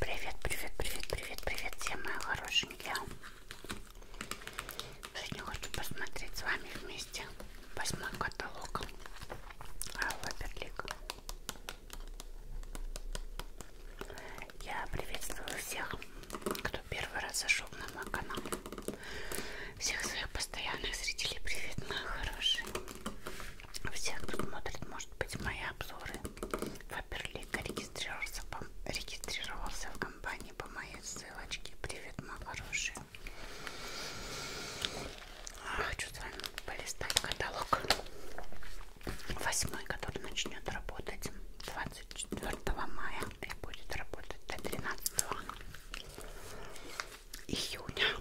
Привет, привет, привет, привет, привет, все мои хорошенькие. Сегодня хочу посмотреть с вами вместе восьмой каталог Алла Берлик. Я приветствую всех, кто первый раз зашел на мой канал. Всех своих постоянных зрителей привет, мои хорошие. Всех, кто смотрит, может быть, мои обзоры Фаберлик регистрировался, регистрировался в компании по моей ссылочке. Привет, мои хорошие. А, хочу с вами полистать каталог. Восьмой, который начнет работать 24 мая и будет работать до 13 июня.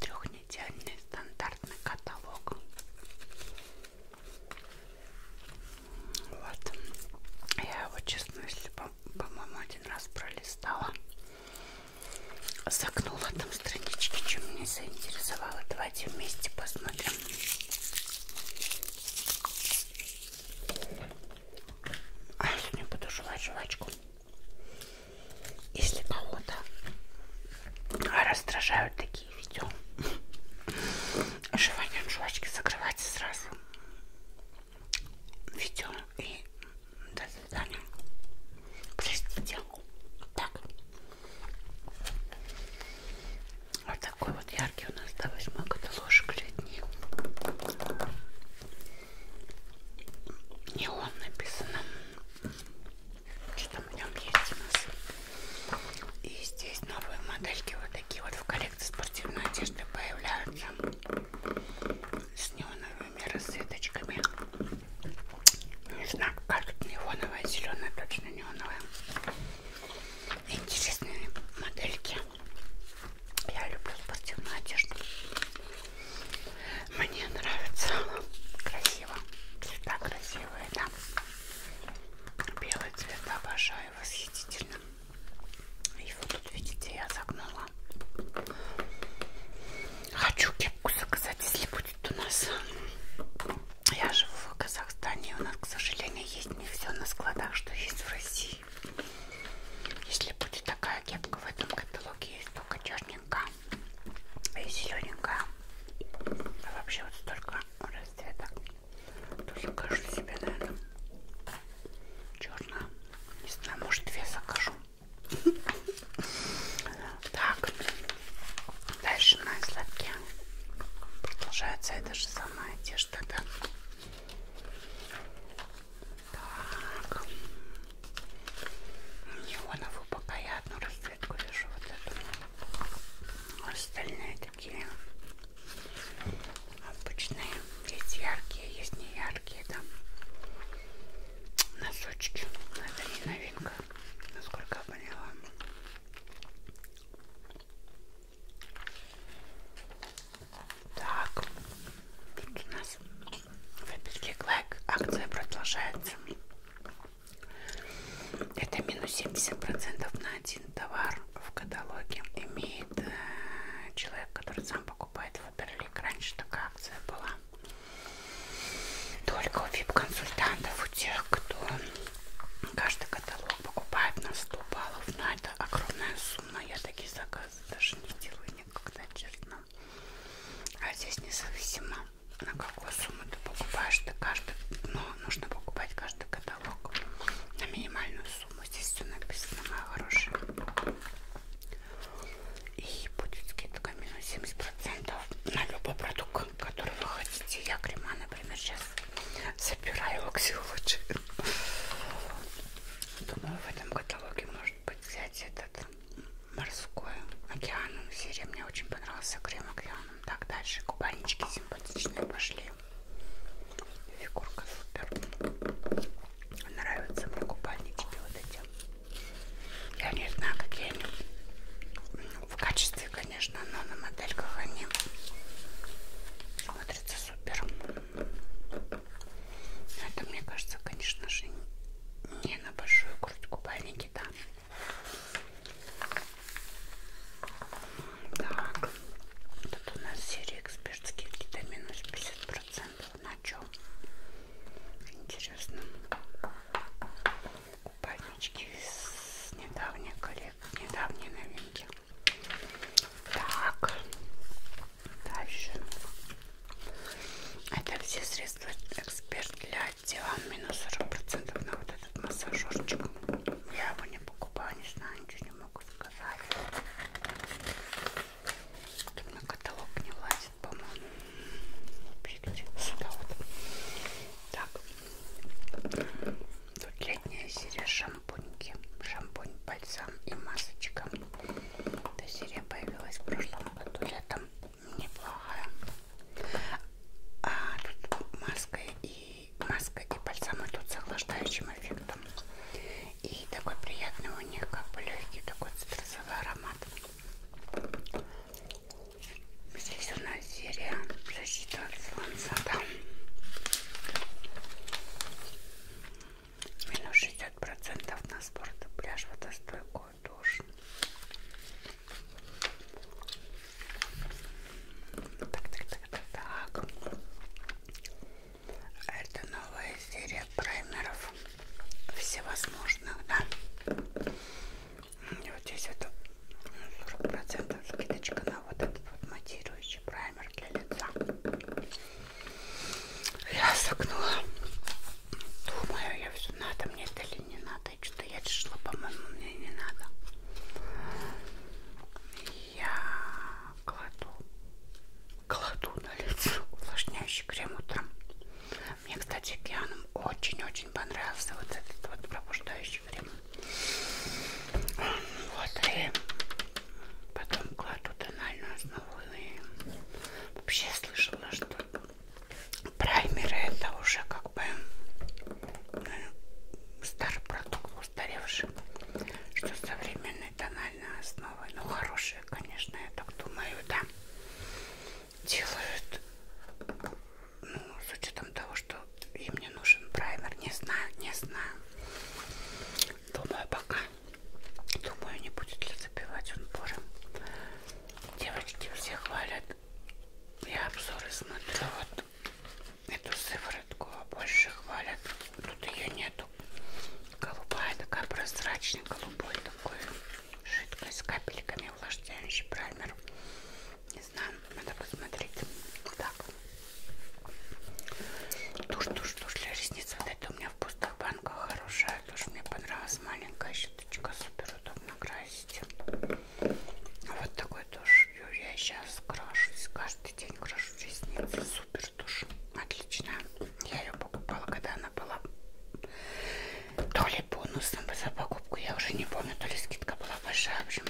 Трехнедельный стандартный каталог. Вот. Я его, честно, если, по-моему, один раз пролистала, загнула там странички, чем меня заинтересовало. Давайте вместе посмотрим. А я не буду жевать жвачку. Если кого-то раздражают такие такие ведем. Жевание жвачки закрывайте сразу. Ведем и до свидания. Простите. Так. Вот такой вот яркий у нас до восьмой каталожек летний. Не он написано что там в нем есть у нас. И здесь новые модельки вот такие вот в коллекции спортивной одежды появляются. С неоновыми расцветочками. Не знаю, как тут неоновая, зеленая, точно неоновая. Интересные модельки. Я люблю спортивную одежду. Мне нравится. Красиво. Цвета красивые, да. Белый цвет обожаю, восхитительно. Его тут, видите, я загнула. Хочу кепку заказать, если будет у нас. Я живу в Казахстане, и у нас, к сожалению, есть не все на складах, что есть в России. Если будет такая кепка в этом каталоге, есть только черненькая и зелененькая. А вообще вот столько много расцветок. То закажу себе, наверное, черную. Не знаю, может две закажу. Так, дальше на сладке продолжается эта же самая одежда, да? Так, неоновую пока я одну раз клетку вяжу вот эту. А остальные такие обычные. Есть яркие, есть не яркие там носочки. Но это не новинка, насколько я поняла. Так, тут у нас в лайк акция продолжается. Это минус 70% на один товар в каталоге. Имеет э, человек, который сам покупает Фаберлик. Раньше такая акция была. Только у VIP-консультантов, у тех, кто каждый каталог покупает на 100 баллов. Но это огромная сумма. Я такие заказы даже не делаю никогда, честно. А здесь независимо на какую сумму ты покупаешь, ты каждый, но ну, нужно покупать каждый каталог на минимальную сумму. Здесь все написано, моя хорошая. И будет скидка минус 70% на любой продукт, который вы хотите. Я крема, например, сейчас собираю локси лучше. Думаю, в этом каталоге может быть взять этот морской океан. Серия мне очень понравился крем океан. Так, дальше кубанечки симпатичные пошли. Фигурка супер. Нравятся мне купальнички вот эти. Я не знаю, какие они ну, в качестве, конечно, но на модельках они смотрятся супер. Это, мне кажется, конечно же, не на большую грудь купальники, да. Так, тут у нас серия экспертских минус 50% на чем? Интересно. Купальнички с недавней коллекции, недавней новинки. Так, дальше. Это все средства эксперт для я сделала минус 40% на вот этот массажерчик. Я его не покупала, не знаю, ничего не могу сказать. Тут на каталог не влазит, по-моему. Сюда вот. Так. Тут летняя серия шампуньки. Шампунь, бальзам и масочка. Эта серия появилась в прошлом году летом. Неплохая. А тут маска и маска и бальзам идут с охлаждающим эффектом. И такой приятный у них как бы легкий такой цитрусовый аромат. Здесь у нас серия защита от солнца. Да. Минус 60% на спорт и пляж, водостойкую душ. Так, так, так, так, так. Это новая серия праймеров всевозможных, да. И вот здесь вот 40% скидочка на вот этот вот матирующий праймер для лица. Я согнула. Думаю, я все надо мне это или не надо надо. Что-то я шла, по-моему, мне не надо. Я кладу, кладу на лицо увлажняющий крем утром. Мне, кстати, океаном очень-очень понравился вот этот вот пробуждающий крем. Вот, и потом кладу тональную основу. И вообще слышала, что праймеры это уже как как бы э, старый продукт, устаревший, что современной тональной основой. Ну, хорошие, конечно, я так думаю, да. Делают, ну, с учетом того, что им не нужен праймер, не знаю, не знаю. Думаю, пока. Думаю, не будет ли забивать он пором. Девочки все хвалят. Я обзоры смотрю, вот эту сыворотку больше хвалят. Тут ее нету. Голубая такая прозрачная, голубой такой жидкость с капельками увлажняющий праймер. Не знаю, надо посмотреть. Так. Тушь, тушь, тушь для ресниц. Вот это у меня в пустых банках хорошая. Тушь мне понравилась. Маленькая щеточка, супер удобно красить есть. Вот такой тушь. Я сейчас крашусь. Каждый день крашу ресницы. Супер тушь. Отлично. Я ее покупала, когда она была то ли бонусом за покупку. Я уже не помню, то ли скидка была большая. В общем,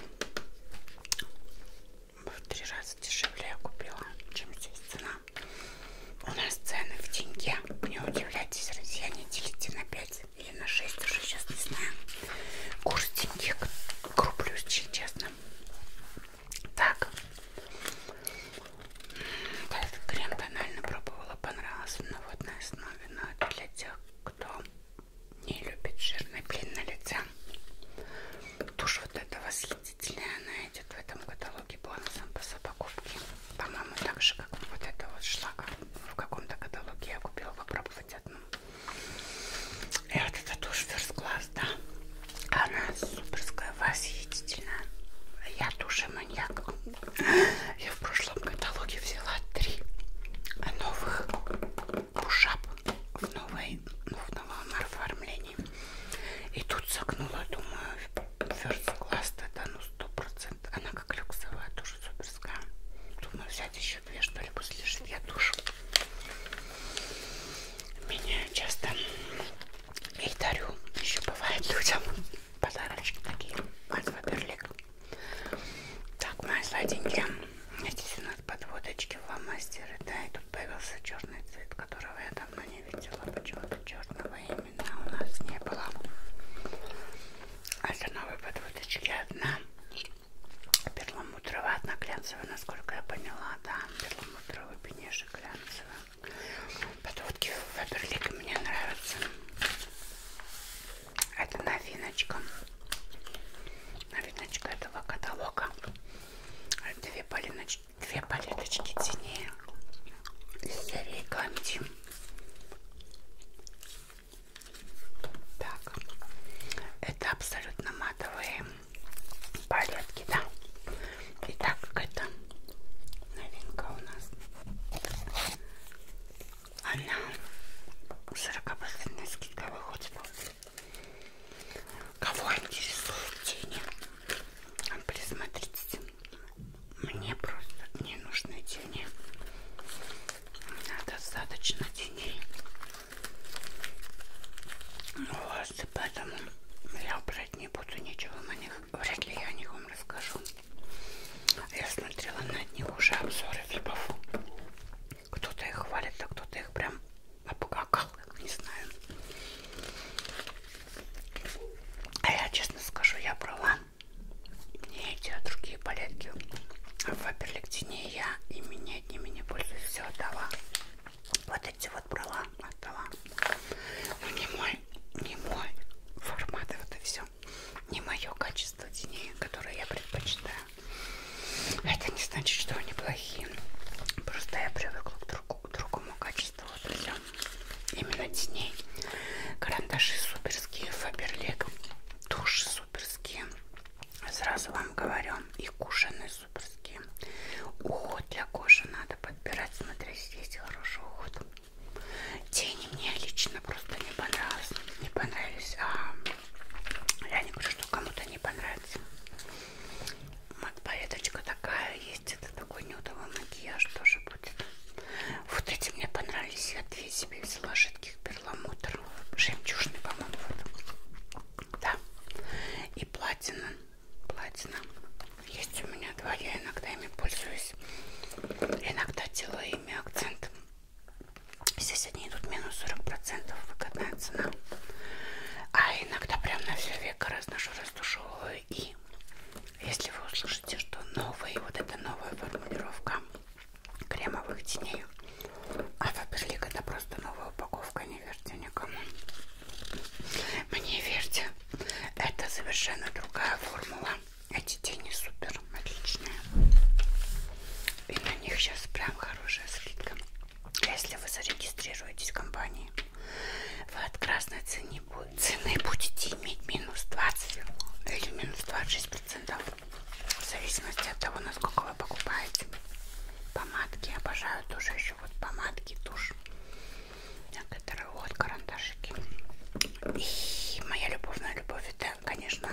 в три раза дешевле я купила, чем здесь цена. У нас цены в деньге. Не удивляйтесь, друзья, не делите на 5 или на 6 уже сейчас не знаю. Курс деньги круплю, честно. Так. Да, этот крем тонально пробовала, понравился на водной основе, но для тех, кто не любит жирный блин на лице. Тушь вот эта восхитительная, она идет в этом каталоге бонусом по покупке. По-моему, так же, как вот эта вот шла, как в каком-то каталоге я купила попробовать одну. И э, вот это тоже ферст-класс, да. Она суперская, восхитительная. Я тоже маньяк. Я в прошлом каталоге взяла три новых пушап в, новой, ну, в новом оформлении. И тут согнула, думаю, ферст-класс это ну 100%. Она как люксовая, тоже суперская. Думаю, взять еще еще мне что-либо слежит, я душу. Меня часто и дарю, еще бывает людям подарочки такие. От Фаберлик. Так, мои сладенькие. Здесь у нас подводочки фломастеры, да, и тут появился черный цвет, которого я давно не видела. Почему-то черного именно у нас не было. А это новые подводочки одна перламутровая, одна глянцевая, насколько я поняла, да, перламутровый бенежик глянцевый. Подводки Фаберлик мне нравятся. Это новиночка. Новиночка этого каталога. Две, полиноч... Две палеточки цене из серии Канди. Так, это абсолютно матовые палетки, да. Итак, это новинка у нас. Она 40% скидка выходит. Кого интересуют тени? А присмотритесь. Мне просто не нужны тени. Достаточно теней. Ну, вот, поэтому я брать не буду ничего на них. Вряд ли я о них вам расскажу. Я смотрела на них уже обзоры флипов. Кто-то их хвалит, а кто-то их прям обгакал, не знаю. А я честно скажу, я брала не эти, а другие палетки. В Аперликтине я, и меня не одними не пользуюсь, все отдала. Вот эти вот брала, отдала. Но ну, не мой, не мой формат, вот и все. Не мое качество теней, которое я предпочитаю. Это не значит, что они плохие. Просто я привыкла к, друг, к другому качеству, вот и все. Именно теней. Карандаши суперские, фаберлик, тушь суперские, Сразу вам говорю, и кушаны суперские. Уход для кожи надо подбирать. Смотри, здесь хороший уход. Тени мне лично просто не понравились. Не понравились. А я не говорю, что кому-то не понравится. Вот палеточка такая есть. Это такой нюдовый макияж тоже будет. Вот эти мне понравились. Я две себе взяла жидких перламутр. Жемчужный, по-моему. Вот да. И платина, платина. Есть у меня два, я иногда ими пользуюсь. Иногда делаю ими акцент. Здесь они идут минус 40%, выгодная цена. А иногда прям на все века разношу, раздушевываю. И если вы услышите, что новые, вот эта новая формулировка кремовых теней, а Фаберлик это просто новая упаковка, не верьте никому. Мне верьте, это совершенно другая формула. Эти тени супер отличные. И на них сейчас прям хорошая скидка. Если вы зарегистрируетесь в компании, вы от красной цены, цены будете иметь минус 20 или минус 26%. В зависимости от того, насколько вы покупаете помадки обожаю тоже еще вот помадки тушь некоторые вот карандашики и моя любовная любовь это конечно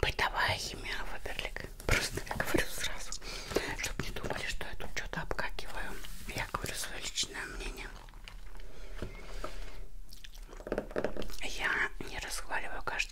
бытовая химия Фаберлик просто я говорю сразу чтобы не думали что я тут что-то обкакиваю я говорю свое личное мнение я не разговариваю каждый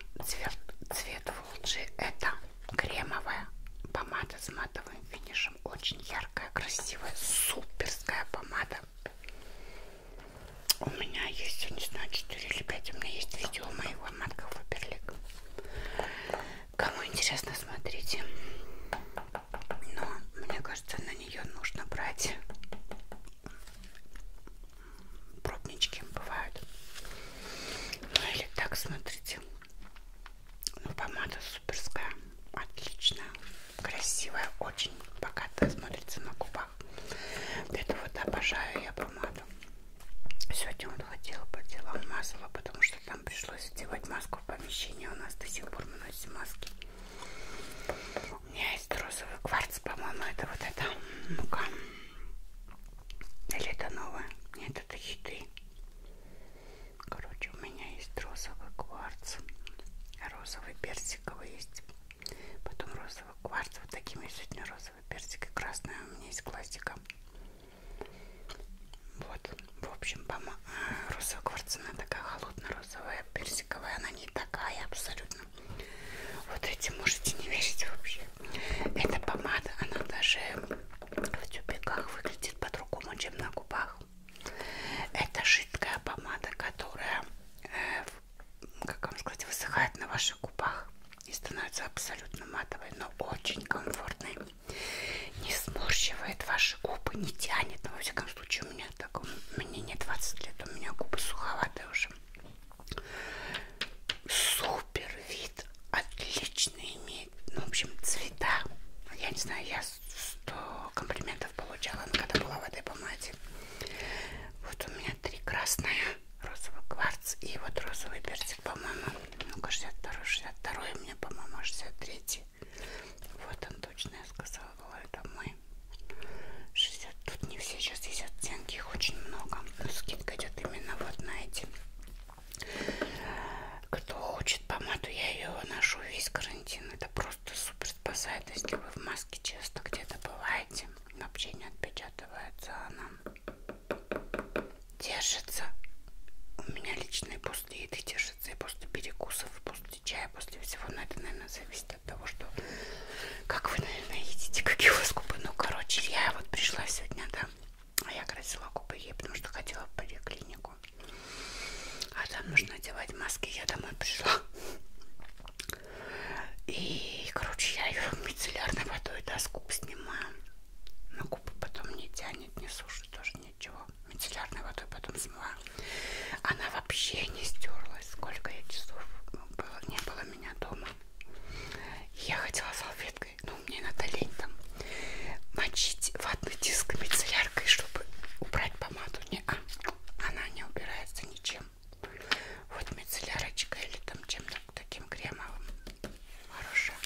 цвет, цвет Фуджи это кремовая помада с матовым финишем. Очень яркая, красивая, суперская помада. У меня есть, я не знаю, 4 или 5. У меня есть видео моего матка Фаберлик. Кому интересно, смотрите. Но мне кажется, на нее нужно брать пробнички бывают. Ну или так, смотрите. Ну, помада суперская, отличная, красивая, очень богатая, смотрится на губах. Это вот обожаю я помаду. Сегодня вот ходила по делам, мазала, потому что там пришлось делать маску в помещении. А у нас до сих пор мы носим маски. У меня есть розовый кварц, по-моему, это вот эта мука. Ну или это новое? Нет, это хиты. Короче, у меня есть розовый кварц. Розовый персиковый есть. Потом розовый кварц. Вот такими сегодня розовый персик. И красная у меня есть классика. Вот. В общем, э, розовая кварцина такая холодно-розовая персиковая. Она не такая абсолютно. Вот эти можете не верить вообще. Эта помада, она даже в тюбиках выглядит по-другому, чем на губах. Это жидкая помада, которая, э, как вам сказать, высыхает на ваших губах и становится абсолютно матовой, но очень комфортной. Не сморщивает ваши губы, не тянет. Но, во всяком случае, у меня так, мне не 20 лет, у меня губы суховатые уже. Супер вид, отличный имеет, ну, в общем, цвета. Я не знаю, я 100 комплиментов получала, когда была в этой помаде. Вот у меня три красные, розовый кварц и вот розовый персик, по-моему. Ну-ка, 62 62 у меня, по-моему, 63 Вот он точно, я сказала, это мой. 62 Тут не все сейчас есть оттенки, их очень много. Но скидка идет именно вот на эти. Кто хочет помаду, я ее ношу весь карантин. Это просто супер спасает, если вы в маске часто где-то бываете. Вообще не отпечатывается она. Держится. У меня личные после еды держится и после перекусов, после чая, после всего. Но это, наверное, зависит от того, что как вы, наверное, едите, какие у вас губы. Ну, короче, я вот пришла сегодня, да, а я красила губы ей, потому что хотела в поликлинику. А там нужно одевать маски, я домой пришла. И, короче, я ее мицеллярной водой, да, с губ снимаю. Но губы потом не тянет, не сушит, тоже ничего. Мицеллярной водой потом смываю. Она вообще не стерлась, сколько я часов ну, было, не было меня дома. Я хотела салфеткой, но мне надо лень там мочить ватный диск мицелляркой, чтобы убрать помаду. Не, а, она не убирается ничем. Вот мицеллярочка или там чем-то таким кремовым. Хорошая.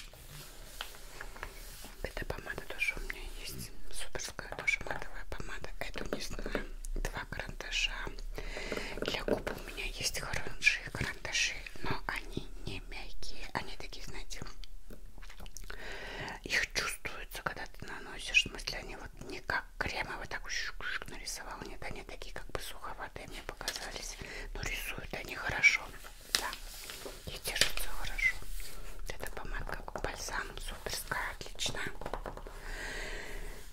Эта помада тоже у меня есть. Суперская тоже матовая помада. Эту не знаю. Два карандаша для губ у меня есть хорошие карандаши, но они не мягкие, они такие, знаете, их чувствуется, когда ты наносишь, в смысле они вот не как кремовые, а так шук -шук нарисовал, нет, они такие как бы суховатые мне показались, но рисуют они хорошо, да, и держатся хорошо. Вот эта помадка бальзам суперская, отличная.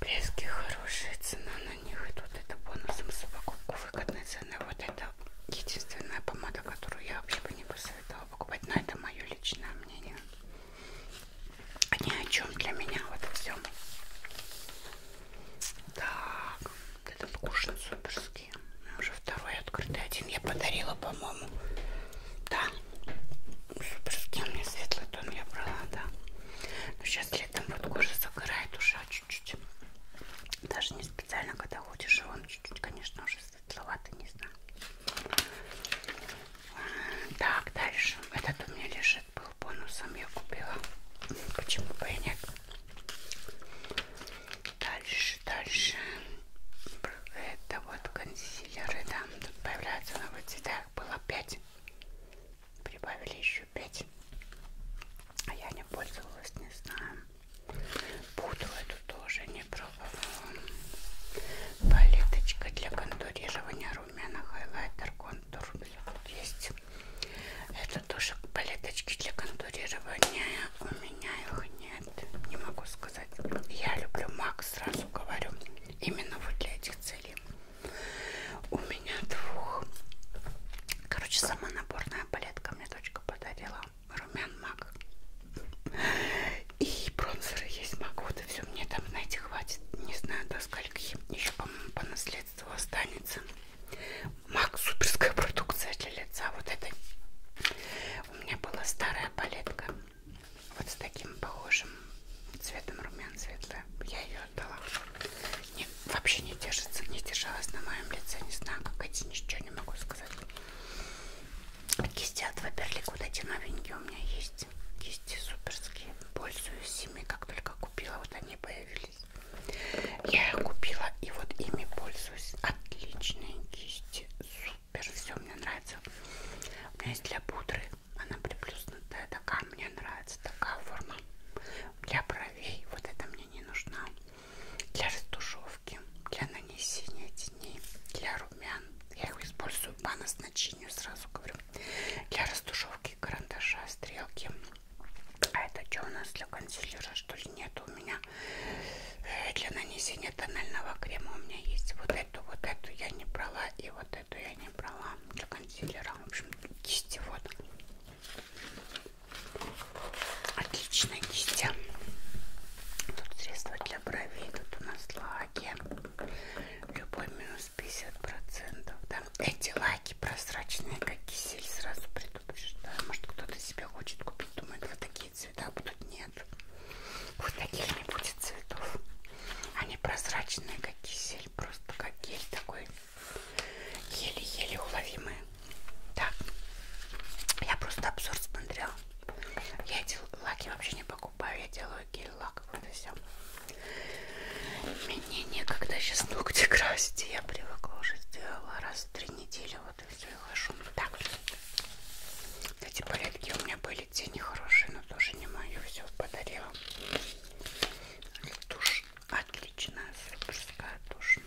Блески хорошие, цена на них идут. Это бонусом за покупку выгодной цены. Вот это единственная помада, которую я вообще бы не посоветовала покупать. Но это мое личное мнение. Ни о чем для меня вот этом всем. Так, вот это покушен суперский. Уже второй открытый. Один я подарила, по-моему. Да. Суперский у меня светлый тон я брала, да. Но сейчас при этом вот кожа загорает уже чуть-чуть. Даже не специально, когда ходишь, и а он чуть-чуть, конечно, уже светловатый, не знаю. Так, дальше. Этот у меня лежит, был бонусом, я купила. Почему бы и нет? Дальше, дальше. Это вот консилеры, да. Тут появляются новые цвета. Их было 5 прибавили еще 5 а я не пользовалась не знаю буду эту тоже не пробовала палеточка для контурирования румяна хайлайтер контур тут есть это тоже палеточки для контурирования у меня их нет не могу сказать я люблю мак сразу говорю именно вот для этих целей у меня двух. Короче, сама наборная палетка мне дочка подарила. Румян мак. И бронзеры есть мак. Вот и все. Мне там, знаете, хватит. Не знаю, до скольки. Еще, по-моему, по наследству останется. Мак суперская продукция для лица. Вот это. У меня была старая палетка. Вот с таким похожим цветом румян светлая. Я ее отдала. Не, вообще не держится, не держалась на моем лице. Не знаю, как эти, ничего не могу сказать. Кисти от Ваперлик, вот эти новенькие у меня есть. Кисти суперские. Пользуюсь ими, как только купила, вот они появились. Я их купила и вот ими пользуюсь. Отличные кисти. Супер, все мне нравится. У меня есть для пудры. Она приплюснутая такая. Мне нравится такая форма для бровей, вот это мне не нужна, для растушевки, для нанесения теней, для румян. Я его использую по назначению, сразу говорю. Для растушевки карандаша, стрелки. А это что у нас для консилера, что ли? Нет, у меня э, для нанесения тонального крема у меня есть вот эту, вот эту я не брала и вот эту я не брала для консилера. В общем, кисти вот. Отлично, Кистя. Тут средства для бровей, тут у нас лаки. Любой минус 50%. Да? Эти лаки прозрачные, как кисель, сразу предупреждаю. Может кто-то себе хочет купить, думает, вот такие цвета будут. Нет, вот таких не будет цветов. Они прозрачные, как кисель, просто как гель такой. Еле-еле уловимые. Так, я просто обзор смотрела. Я эти лаки вообще не покупаю, я делаю гель-лак, вот и все. Мне некогда сейчас ногти красить, я привыкла уже сделала раз в три недели, вот и все, и хожу. Так, эти палетки у меня были, те нехорошие, но тоже не мою, все подарила. Тушь Отлично, суперская тушь.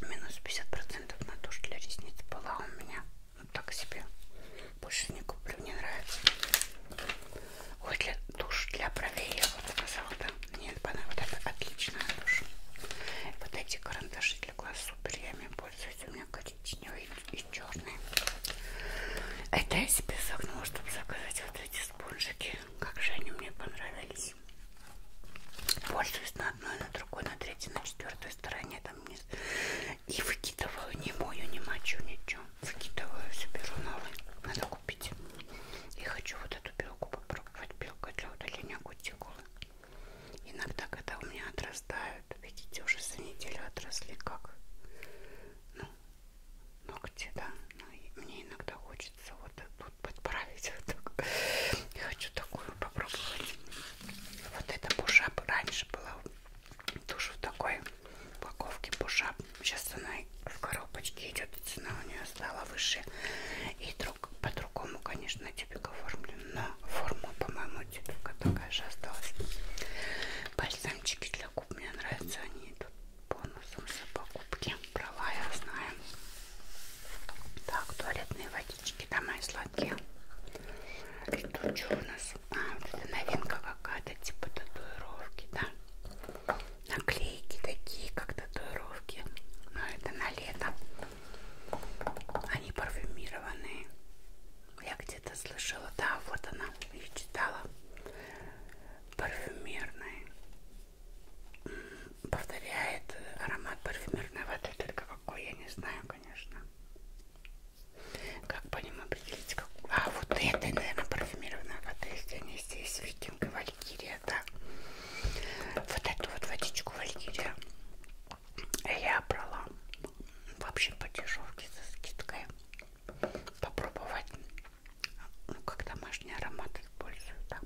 Минус 50% на тушь для ресниц была у меня. Ну так себе. Больше не куплю, не нравится. Ой, для тушь для бровей я вот сказала, да. Мне понравилось. Вот это отличная тушь. Вот эти карандаши для глаз супер. Я ими пользуюсь. У меня коричневые и черные. Это я себе загнула, чтобы заказать вот эти спонжики. Как же они мне понравились здесь. Пользуюсь на одной, на другой, на третьей, на четвертой стороне там вниз. И выкидываю, не мою, не мочу, ничего. Выкидываю, все беру новый. Надо купить. И хочу вот эту белку попробовать. Белка для удаления кутикулы. Иногда, когда у меня отрастают, видите, уже за неделю отросли как ну, ногти, да. Но ну, мне иногда хочется хочется вот тут подправить. Вот так. Я хочу такую попробовать. Вот это бушап раньше была тоже в такой упаковке бушап. Сейчас она в коробочке идет, и цена у нее стала выше. И друг, по-другому, конечно, типик оформлен, но форма, по-моему, типика такая же осталась. Бальзамчики для губ мне нравятся, они идут бонусом за покупки. Права я знаю. Так, туалетные водички, да, мои сладкие. И тут что у нас? А, вот это новинка какая-то, типа татуировки, да? Наклейки такие, как татуировки. Но это на лето. Они парфюмированные. Я где-то слышала, да, вот она, я читала. Парфюмерные повторяет аромат парфюмерной воды, только какой, я не знаю, конечно. Как по ним определить, как... А, вот это, наверное, парфюмированная вода, если они здесь, викинг и валькирия, да. Вот эту вот водичку валькирия я брала, вообще по дешевке со скидкой, попробовать ну, как домашний аромат использую, да.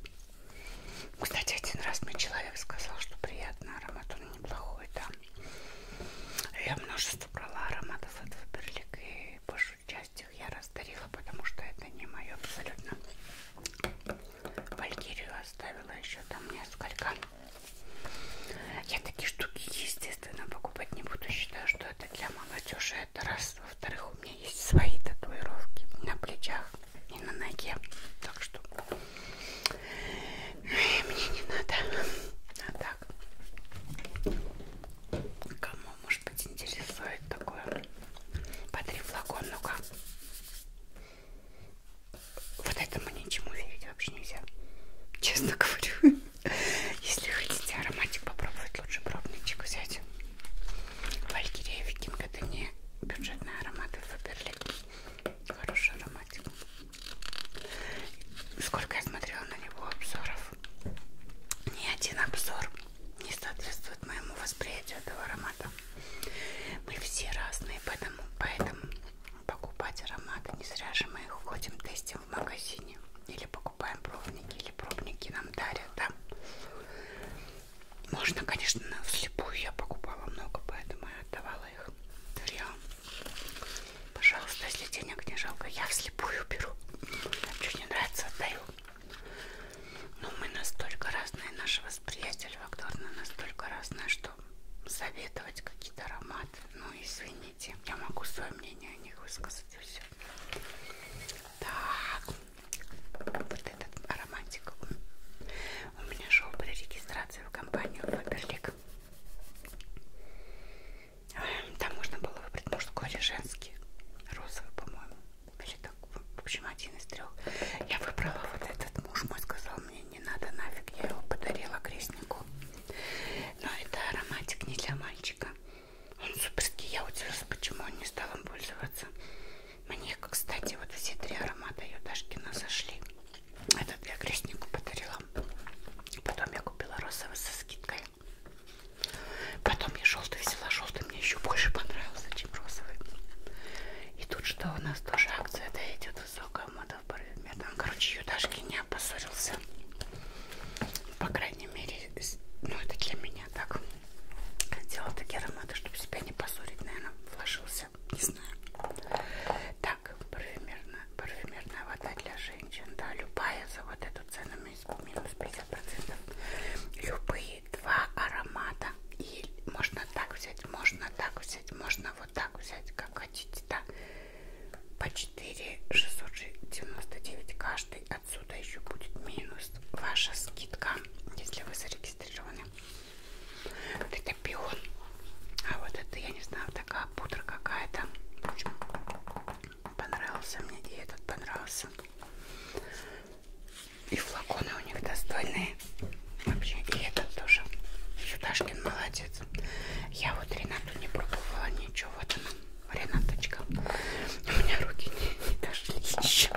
Кстати, один раз мне человек сказал, что приятный аромат, он неплохой, да. Я множество брала ароматов от Фаберлик, и большую часть их я раздарила, потому что это не мое абсолютно. Валькирию оставила еще там несколько. Я такие штуки, естественно, покупать не буду. Считаю, что это для молодежи, это раз. Во-вторых, у меня есть свои татуировки на плечах и на ноге. Так что ну, мне не надо. А так, кому может быть интересует такое? По три флакона, ну-ка. Вот этому ничему верить вообще нельзя. Честно говорю. Если хотите ароматик попробовать, лучше пробничек взять. Валькирия Викинг это не бюджетные ароматы выбрали. Хороший ароматик. Сколько я смотрела на него обзоров, ни один обзор не соответствует моему восприятию этого аромата. Мы все разные, поэтому, поэтому покупать ароматы не зря же мы их ходим, тестим в магазине. Или покупаем пробники, или пробники нам дарят, да? Можно, конечно, но вслепую я покупала много, поэтому я отдавала их. Дарья, пожалуйста, если денег не жалко, я вслепую беру. Что не нравится, отдаю. Но мы настолько разные, наше восприятие львакторное настолько разное, что советовать какие-то ароматы, ну извините, я могу свое мнение о них высказать и все. Так, вот этот ароматик у меня шел при регистрации в компанию Фаберлик. Там можно было выбрать мужской или женский, розовый, по-моему, или так, в общем, один из трех. Я выбрала вот этот, муж мой сказал мне, не надо нафиг, я его подарила крестнику. Но это ароматик не для мальчика. Он суперский, я удивилась, почему он не стал им пользоваться. Мне, кстати, вот все три аромата Юдашкина зашли. Этот я крестнику подарила. Потом я купила розовый со скидкой. Потом я желтый взяла. Желтый мне еще больше понравился, чем розовый. И тут что у нас тоже акция, да, идет высокая мода в парфюме. Там, короче, Юдашки не опозорился. По крайней мере, ну это для меня я так делала такие ароматы, чтобы себя не позорить, наверное, вложился, не знаю. Так, парфюмерная, парфюмерная вода для женщин, да, любая за вот эту цену минус 50%. Любые два аромата, и можно так взять, можно так взять, можно вот так взять, как хотите, да. По 4 699 каждый, отсюда еще будет минус ваша скидка, если вы зарегистрированы глазами. Вот это пион. А вот это, я не знаю, такая пудра какая-то. В общем, понравился мне и этот понравился. И флаконы у них достойные. Вообще, и этот тоже. Чудашкин молодец. Я вот Ренату не пробовала ничего. Вот она, Ренаточка. У меня руки не, не дошли еще.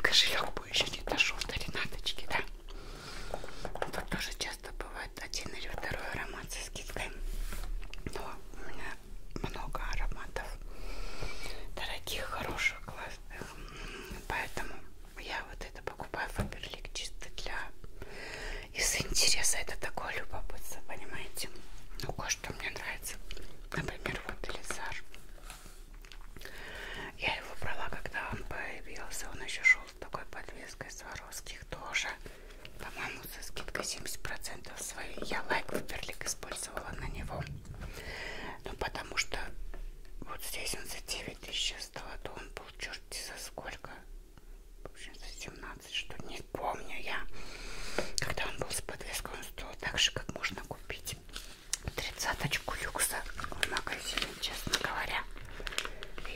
Кошелек тобой еще не дошел до Ренаточки, да? Вот тоже часто бывает один или второй аромат со скидкой. Но у меня много ароматов дорогих, хороших, классных. Поэтому я вот это покупаю Фаберлик чисто для... Из интереса это такое любопытство, понимаете? Ну, кое-что мне нравится. Например, вот Элизар. Я его брала, когда он появился. Он еще шел с такой подвеской Сваровских тоже. По-моему, со скидкой 70% своей. Я лайк Вуперлик использовала на него. Ну, потому что вот здесь он за 9 тысяч стал, а то он был черти за сколько. В общем, за 17, что не помню я. Когда он был с подвеской, он стоил так же, как можно купить тридцаточку люкса в магазине, честно говоря.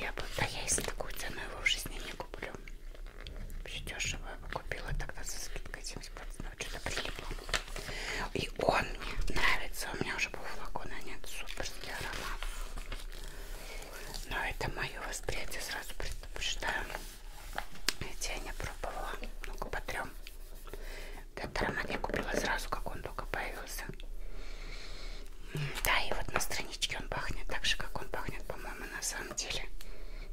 Я бы, да я если такую цену его в жизни не куплю. Вообще дешево его купила тогда со скидкой 70%, ну, что-то прилипло. И он мне нравится, у меня уже был флакон, а нет, суперский аромат. Но это мое восприятие, сразу предупреждаю. Ведь я не пробовала, ну-ка потрем. Этот аромат я купила сразу, как он только появился. Да, и вот на страничке он пахнет так же, как он пахнет, по-моему, на самом деле.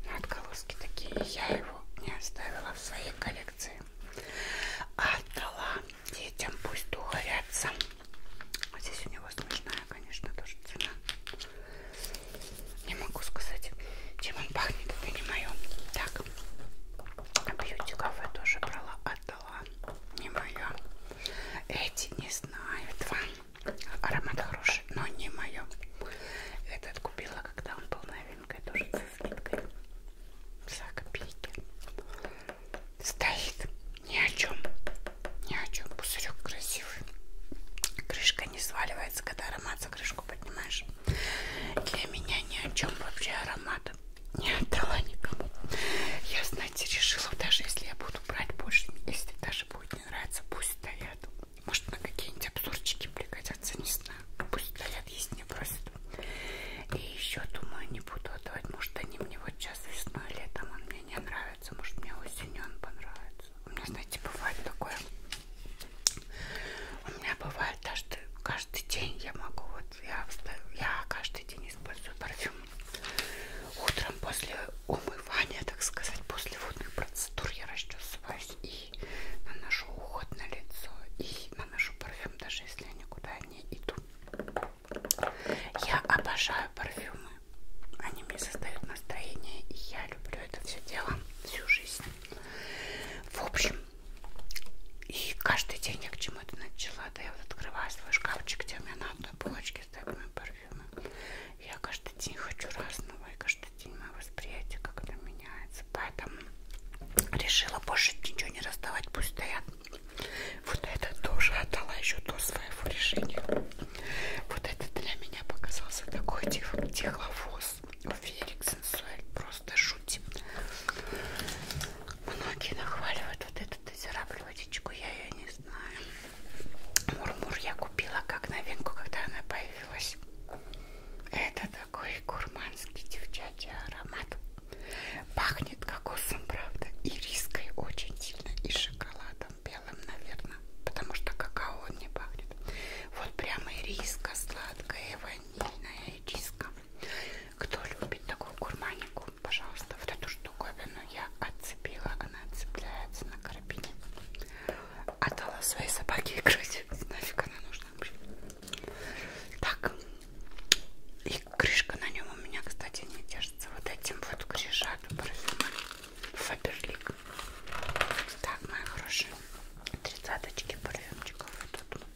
На отголоски такие. Я его не оставила в своей коллекции. А отдала детям, пусть духарятся. Здесь у него смешная, конечно, тоже цена. Не могу сказать, чем он пахнет, это не мое. Так, а Бьюти кафе тоже брала, отдала. Не мое. Эти не знаю. Два. Аромат хороший, но не мое. Этот купила, когда он был новинкой, тоже со скидкой. За копейки. Стоит. Ни о чем. Ни о чем. Пузырек красивый. Крышка не сваливается, когда аромат за крышку поднимаешь. Для меня ни о чем вообще аромат не отдала никому. Я, знаете, решила, даже если я буду брать больше, если даже будет не нравиться, пусть стоят. Может, на какие-нибудь обзорчики пригодятся, не знаю. Ну, пусть стоят, есть не просят. И еще, думаю, не буду отдавать. Может, они мне вот сейчас весной, летом он мне не нравится. Может, мне осенью он понравится. У меня, знаете, бывает такое. У меня бывает даже каждый день я могу вот я, я каждый день использую парфюм. Утром после умывания, так сказать, после водных процедур я расчесываюсь и наношу уход на лицо. И наношу парфюм, даже если я никуда не иду. Я обожаю парфюмы. Они мне создают настроение, и я люблю это все дело всю жизнь. В общем, и каждый день я к чему-то начала. Да я вот открываю свой шкафчик, где у меня на одной полочке с такими парфюмами. Я каждый день хочу разного, и каждый день мое восприятие как-то меняется. Поэтому решила больше ничего не раздавать, пусть стоят. Вот это тоже отдала еще до своего решения. Вот это для меня показался такой тиховоз, уверик сенсуэль, просто шутим. Многие нахваливают вот эту дозирабль водичку, я ее не знаю. Мурмур я купила как новинку, когда она появилась. Это такой гурманский девчачий аромат. Пахнет кокосом, правда, и риской очень сильно, и шоколадом белым, наверное, потому что какао он не пахнет. Вот прямо и риска сладкая, и ванильная, и риска. Кто любит такую курманику, пожалуйста, вот эту штуковину я отцепила, она отцепляется на карабине. Отдала своей собаке играть. Нафиг она нужна вообще. Так. И крышка на нем у меня, кстати, не держится. Вот этим вот крышатом парфюма. Фаберлик. Так, мои хорошие. Тридцаточки парфюмчиков. Вот тут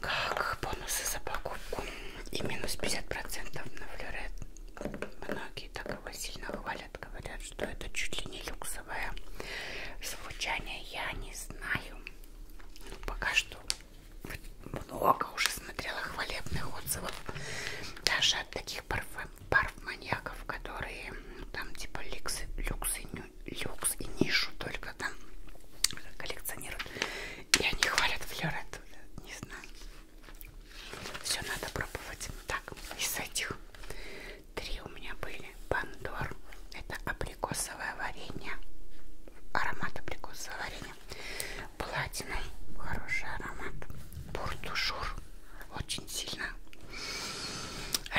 как бонусы за покупку и минус 50% на флюорет. Многие так его сильно хвалят, говорят, что это чуть ли не люксовое звучание. Я не знаю. Ну, пока что много уже смотрела хвалебных отзывов. Даже от таких парфюм, парф-маньяков, которые ну, там типа люксы, люксы не люкс и нишу только там коллекционируют. И они хвалят флерет. Не знаю. Все надо пробовать. Так, из этих три у меня были. Пандор. Это абрикосовое варенье. Аромат абрикосового варенья. Платина. Хороший аромат. Буртушур. Очень сильно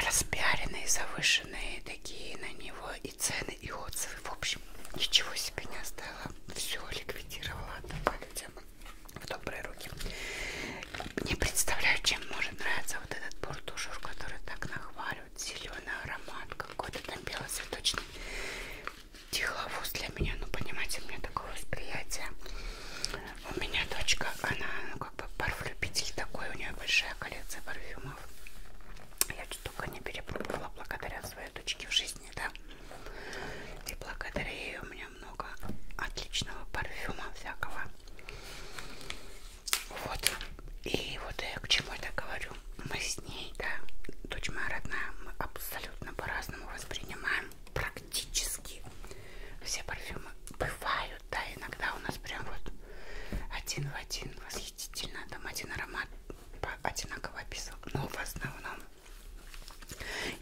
распиаренные, завышенные такие на него и цены, и отзывы. В общем, ничего себе не оставила. Все ликвидировала, отдала людям в добрые руки. Не представляю, чем может нравиться вот этот бордушер, который так нахваливает. Зеленый аромат, какой-то там белоцветочный деловоз для меня. Ну, понимаете, у меня такое восприятие. У меня дочка, она ну, как бы парфюм-любитель такой, у нее большая коллекция парфюма поэтому я только не перепробовала благодаря своей дочке в жизни, да. И благодаря ей у меня много отличного парфюма всякого. Вот. И вот я к чему это говорю. Мы с ней, да, дочь моя родная, мы абсолютно по-разному воспринимаем практически все парфюмы. Бывают, да, иногда у нас прям вот один в один восхитительно. Там один аромат одинаково описал. Но ну, в основном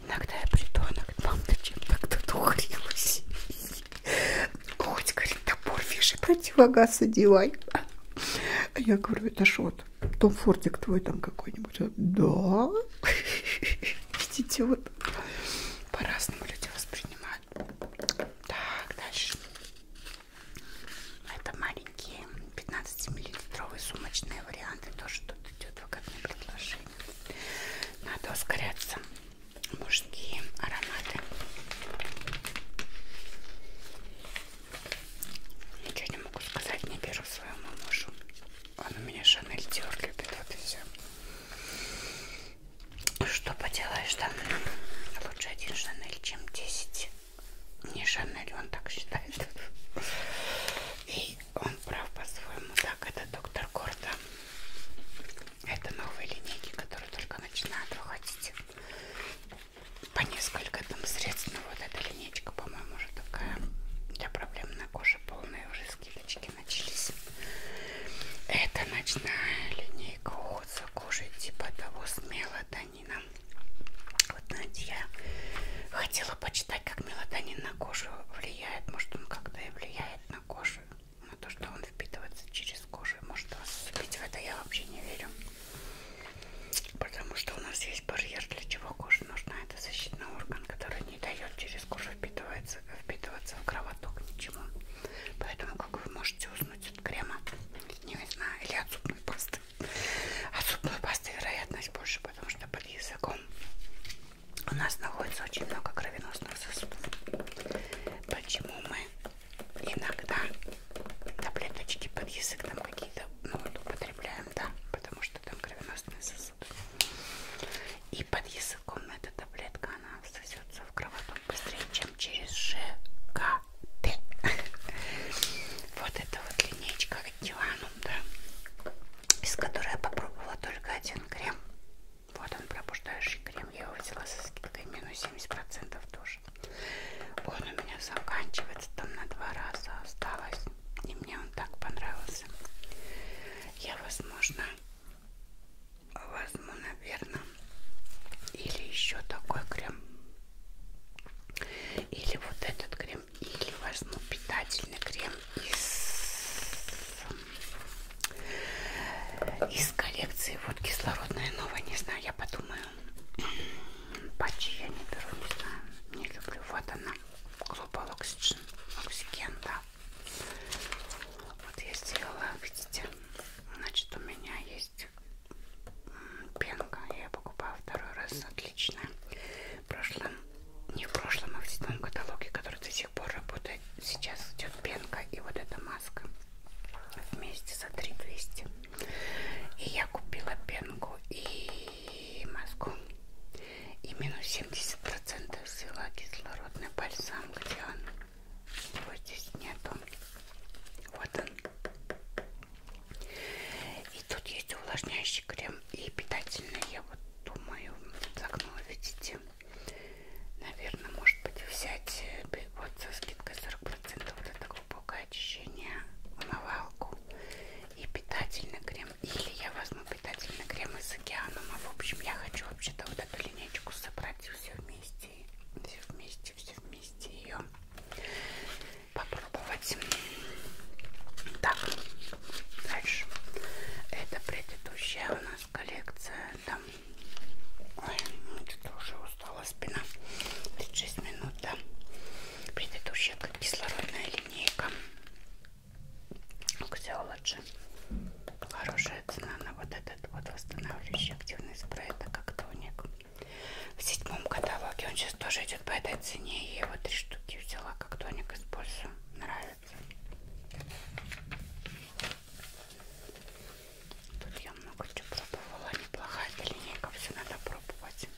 иногда я приду, она говорит, мам, ты чем-то кто-то ухрилась. Хоть, говорит, топор вешай, противогаз одевай. А я говорю, это ж вот Том Фортик твой там какой-нибудь. Да. Видите, вот по-разному люди воспринимают. Так, дальше. Это маленькие 15-миллилитровые сумочные варианты. Тоже тут идет выгодное предложение. Надо ускоряться. Мужские ароматы. Ничего не могу сказать, не беру своему мужу. Он у меня Шанель Диор любит, вот и все. Что поделаешь, да? Лучше один Шанель, чем 10 не Шанель, он так считает. И он прав по-своему. Так, это доктор Гордо. Это новые линейки, которые только начинают выходить. По несколько там средств. Но ну, вот эта линейка, по-моему, уже такая для проблемной кожи полные уже скидочки начались. Это ночная линейка уход за кожей типа того смело, да мелатонина. Вот, знаете, я хотела почитать, как мелатонин на кожу влияет. Может, он как-то и влияет на кожу, на то, что он впитывается через кожу. Может, вас впить в это я вообще не верю. Потому что у нас есть барьер, для чего кожа нужна. Это защитный орган, который не дает через кожу впитываться, впитываться в кровоток ничему. Поэтому, как вы можете уснуть от крема, не знаю, или от зубной пасты. От а зубной пасты вероятность больше, потому что под языком у нас находится очень много кровеносных сосудов. Почему мы иногда таблеточки под язык там какие-то ну, вот, употребляем, да, потому что там кровеносные сосуды. И под языком эта таблетка, она всосется в кровоток быстрее, чем через ЖКТ. Вот это вот линейка Диланум, да, из которой я попробовала только один крем. Вот он, пробуждающий крем. Я его взяла со скидкой минус 70% тоже. Он у меня заканчивается там на два раза осталось. И мне он так понравился. Я, возможно, возьму, наверное, или еще такой крем или вот этот крем, или возьму питательный крем из, из коллекции. Вот кислородная новая, не знаю, я подумаю. Патчи я не беру, не знаю, не люблю. Вот она, Global Oxygen, Oxygen, да. Вот я сделала, видите, значит у меня есть есть пенка. Я ее покупала второй раз. Отличная. В прошлом, не в прошлом, а в седьмом каталоге, который до сих пор работает. Сейчас идет пенка и вот эта маска вместе за 3200. И я купила пенку и маску. И минус 70% взяла кислородный бальзам, где он его здесь нету. Вот он. И тут есть увлажняющий крем и питательный, я вот думаю, за окно видите. Наверное, может быть взять э, вот со скидкой 40% вот это глубокое очищение, умывалку и питательный крем. Или я возьму питательный крем из океаном. А в общем, я хочу вообще-то вот эту линейку собрать все вместе. Все вместе, все вместе ее попробовать. Так, дальше. Это предыдущая у нас коллекция. Там, ой, что-то ну, уже устала спина. 36 минут, да. Предыдущая кислородная линейка. Ксиологи. Хорошая цена на вот этот вот восстанавливающий активный спрей, это как тоник в седьмом каталоге. Он сейчас тоже идет по этой цене. Я его три штуки взяла, как тоник использую. Нравится. Тут я много чего пробовала. Неплохая эта линейка, все надо пробовать.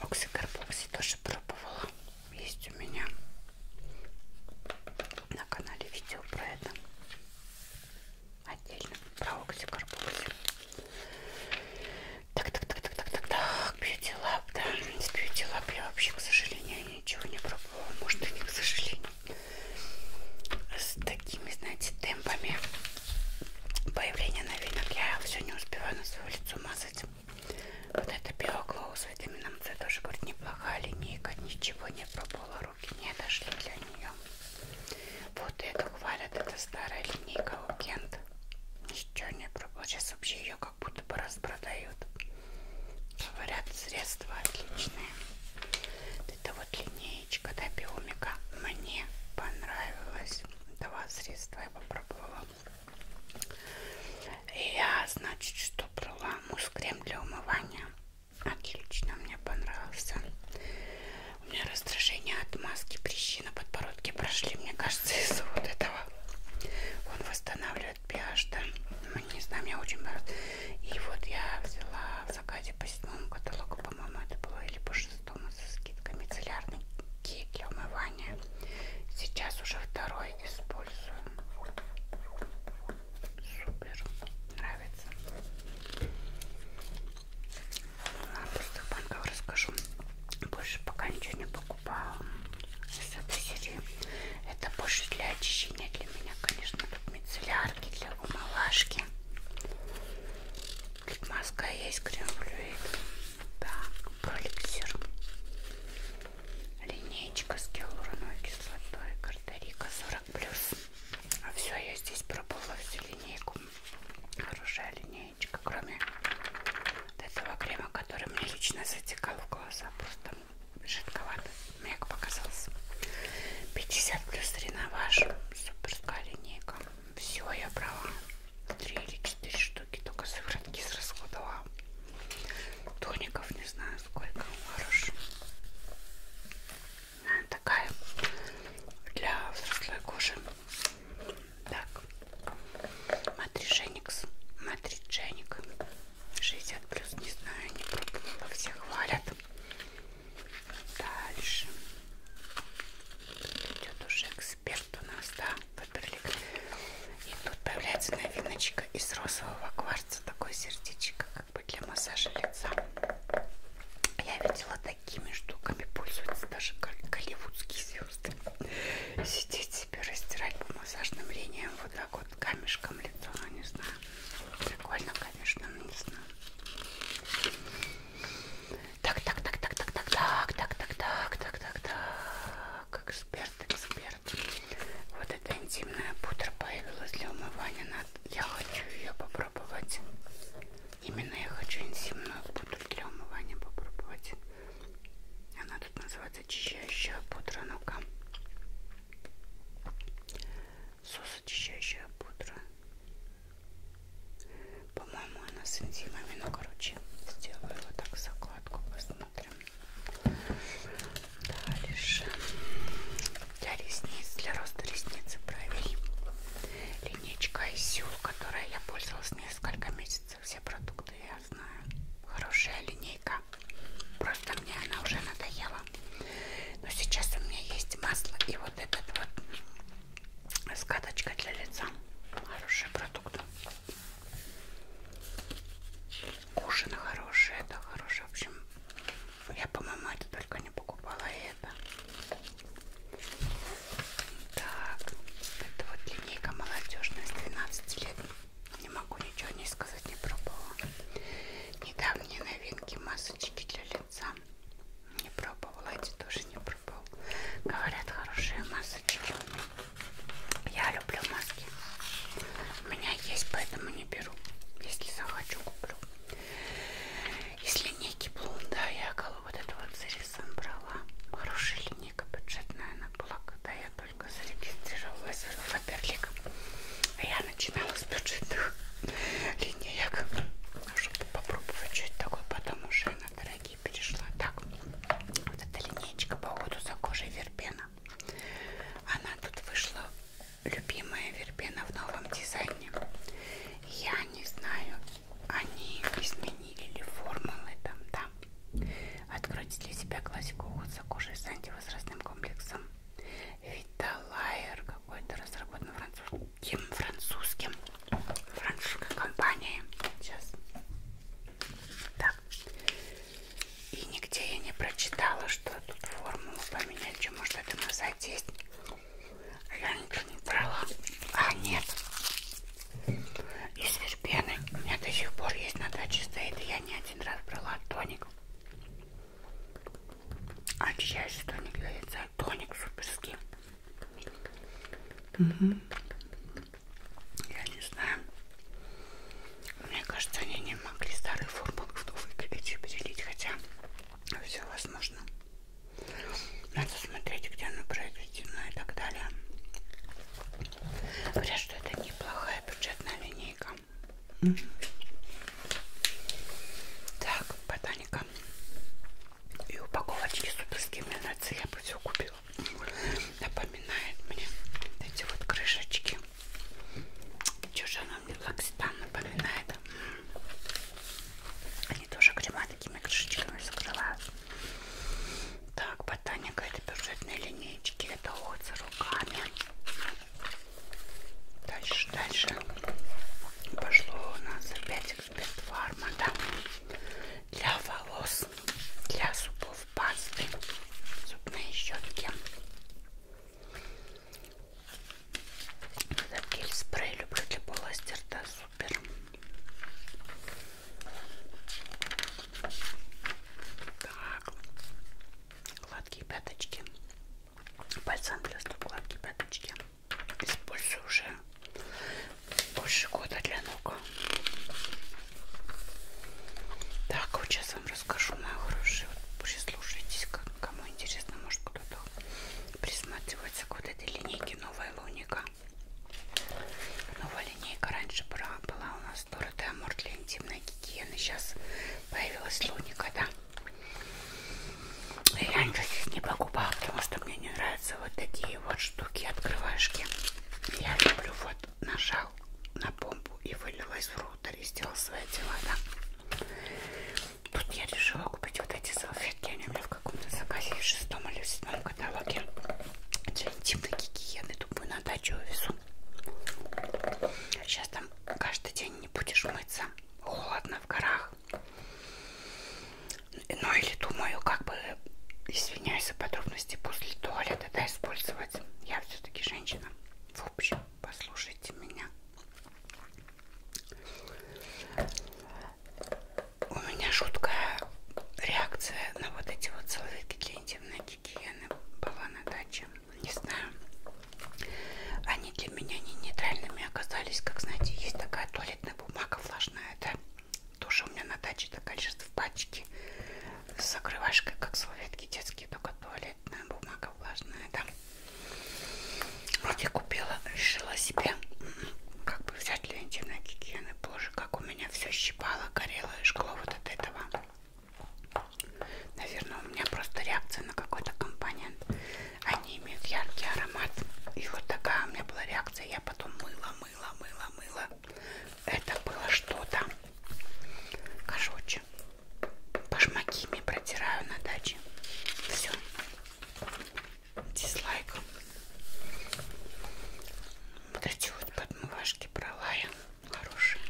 Оксикарбокси тоже пробовала. Есть у меня на канале видео про это отдельно про окси карбокси. Так, так, так, так, так, так, так, бьюти лап, да, с бьюти лап я вообще, к сожалению, ничего не пробовала, может и не к сожалению, с такими, знаете, темпами появления новинок я все не успеваю на свое лицо мазать. Вот это биоклоу с витамином С тоже, говорит, неплохая линейка, ничего не пробовала, руки не дошли для нее. Вот это говорят, это старая линейка Укент. Ничего не пробовала. Сейчас вообще ее как будто бы распродают. Говорят, средства отличные. Это вот линеечка до да, биомика. Мне понравилось. Два средства я попробовала. И я, значит, что брала? Мусс крем для умывания. Отлично, мне понравился. У меня раздражение от маски, прыщи на подбородке прошли, мне кажется, из-за вот этого. Он восстанавливает pH, да? Ну, не знаю, меня очень бороться. И вот я взяла в заказе по седьмому каталогу, по-моему, это было, или по шестому, со скидкой мицеллярный кик для умывания. Сейчас уже второй использую. Супер, нравится. А, О пустых банках расскажу. Больше пока ничего не покупала с этой серии. Это больше для очищения для меня, конечно, для мицеллярки, для умалашки. Тут маска есть, крем флюид. Так, проликсир. Линейка с гиалуроновой кислотой. Карта-Рика 40+. А все, я здесь пробовала всю линейку. Хорошая линейка линеечка, кроме вот этого крема, который мне лично затекал в глаза, просто жидковато, мне показался. 50 плюс реноваж, суперская линейка. Все, я брала 3 или 4 штуки, только сыворотки срасходовала. Тоников не знаю сколько, хорош. Такая для взрослой кожи так, Матридженикс, Матридженик, 60 плюс, не знаю, не пробовала, все хвалят. Дальше тут идет уже эксперт у нас, да, Фаберлик. И тут появляется новиночка из розового кварца, такой сердечко, как бы для массажа лица. Я видела до такими штуками пользуются даже голливудские звезды. Сидеть себе, растирать по массажным линиям вот так вот камешком лицо, ну не знаю. Прикольно, конечно, но не знаю. Так, так, так, так, так, так, так, так, так, так, так, так, так, эксперт, эксперт. Вот эта интимная пудра появилась для умывания. Я хочу ее попробовать. Именно я хочу энзимную пудру для умывания попробовать. Она тут называется очищающая пудра. Ну-ка. Сос очищающая пудра. По-моему, она с энзимами. Ну, короче, сделаю вот так закладку. Посмотрим. Дальше. Для ресниц, для роста ресницы бровей. Линейка ISU, которой я пользовалась не несколько месяцев все продукты, я знаю. Хорошая линейка. Просто мне она уже надоела. Но сейчас у меня есть масло и вот этот вот скаточка для лица. Хороший продукт. Кушина хорошая, это хорошая. В общем, я, по-моему, это только не покупала и это. Так, это вот линейка молодежная с 12 лет. Не могу ничего не сказать, не пробовала. Недавние новинки масочки для лица. Не пробовала, эти тоже не пробовала. Говорят, хорошие масочки. Я люблю маски. У меня есть, поэтому не беру. Если захочу, куплю. Из линейки Блунда я колу вот эту вот Элисон брала. Хорошая линейка бюджетная она была, когда я только зарегистрировалась в Фаберлик. А я начинала с бюджетных линеек, чтобы попробовать что-то такое. Потом уже на дорогие перешла. Так, вот эта линейка по уходу за кожей вербена. Она тут вышла, любимая вербена в новом дизайне. Я не знаю, они изменили ли формулы там, да. Откройте для себя классику уход за кожей с антивозрастным комплексом. Виталайер какой-то разработан французским, французским, французской компанией. Сейчас. Так. И нигде я не прочитала, что тут формулу поменять, что может это на сайте есть. Я ничего не брала. А, нет из вербены. У меня до сих пор есть на даче стоит, и я не один раз брала тоник. Очищающий тоник для лица. Тоник суперский. Угу. Я не знаю. Мне кажется, они не могли старый формул в новый горячий перелить, хотя все возможно. Надо смотреть, где оно произведено и так далее. Говорят, что это неплохая бюджетная линейка. Mm -hmm. Так, ботаника. И упаковочки суперские минации я бы все купила. Напоминает мне эти вот крышечки. Чего же она мне лакситан напоминает? Они тоже крема такими крышечками закрываются. Так, ботаника это бюджетные линейки, это уходит руками. Дальше, дальше пошло у нас опять эксперт фарма, да? Для волос, для зубов пасты, зубные щетки. Этот гель спрей люблю для полости рта Супер. Так. Гладкие пяточки. Пальцем плюсу гладкие пяточки. Использую уже больше года для ног. Так, вот сейчас вам расскажу, мои хорошие. Вот слушайтесь, кому интересно, может кто-то присматривается к вот этой линейке новая луника. Новая линейка раньше была, была у нас Дора Деамор для интимной гигиены. Сейчас появилась Луника, да? Я раньше здесь не покупала, потому что мне не нравятся вот такие вот штуки, открывашки. Я люблю вот нажал на помпу и вылилась в рутер и сделал свои дела, да? Тут я решила купить вот эти салфетки, они у меня в каком-то заказе в шестом или в седьмом моем каталоге для интимной гигиены. Думаю, на дачу везу. Сейчас там каждый день не будешь мыться. Холодно в горах. Ну или думаю, как бы, извиняюсь за подробности, после туалета да, использовать. Я все-таки женщина. В общем, послушайте меня у меня жуткая реакция на вот эти вот салфетки для интимной гигиены была на даче. Не знаю. Они для меня не нейтральными оказались. Как знаете, есть такая туалетная бумага влажная. Это тоже у меня на даче такая лежит в пачке с закрывашкой, как салфетки детские, только туалетная бумага влажная, да. Вот я купила, решила себе как бы взять для интимной гигиены. Боже, как у меня все щипало, горело и жгло вот от этого. Наверное, у меня просто реакция на какой-то компонент. Они имеют яркий аромат. И вот такая у меня была реакция. Я потом мыла, мыла, мыла, мыла. Это было что-то. Короче, башмакими протираю на даче. Все. Дизлайк. Вот эти вот подмывашки брала я хорошие.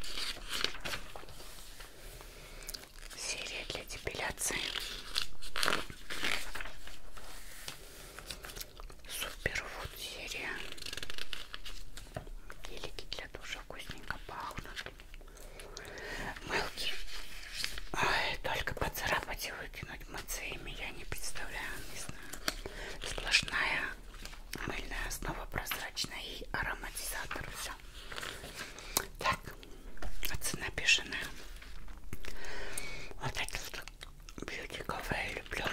Серия для депиляции. Суперфуд серия. Гелики для душа вкусненько пахнут. Мылки. Ой, только поцарапать и выкинуть под мацеями я не представляю, не знаю. Сплошная мыльная основа прозрачная и ароматизатор. Все. Так, а цена бешеная. Вот этот бьюти кафе я люблю.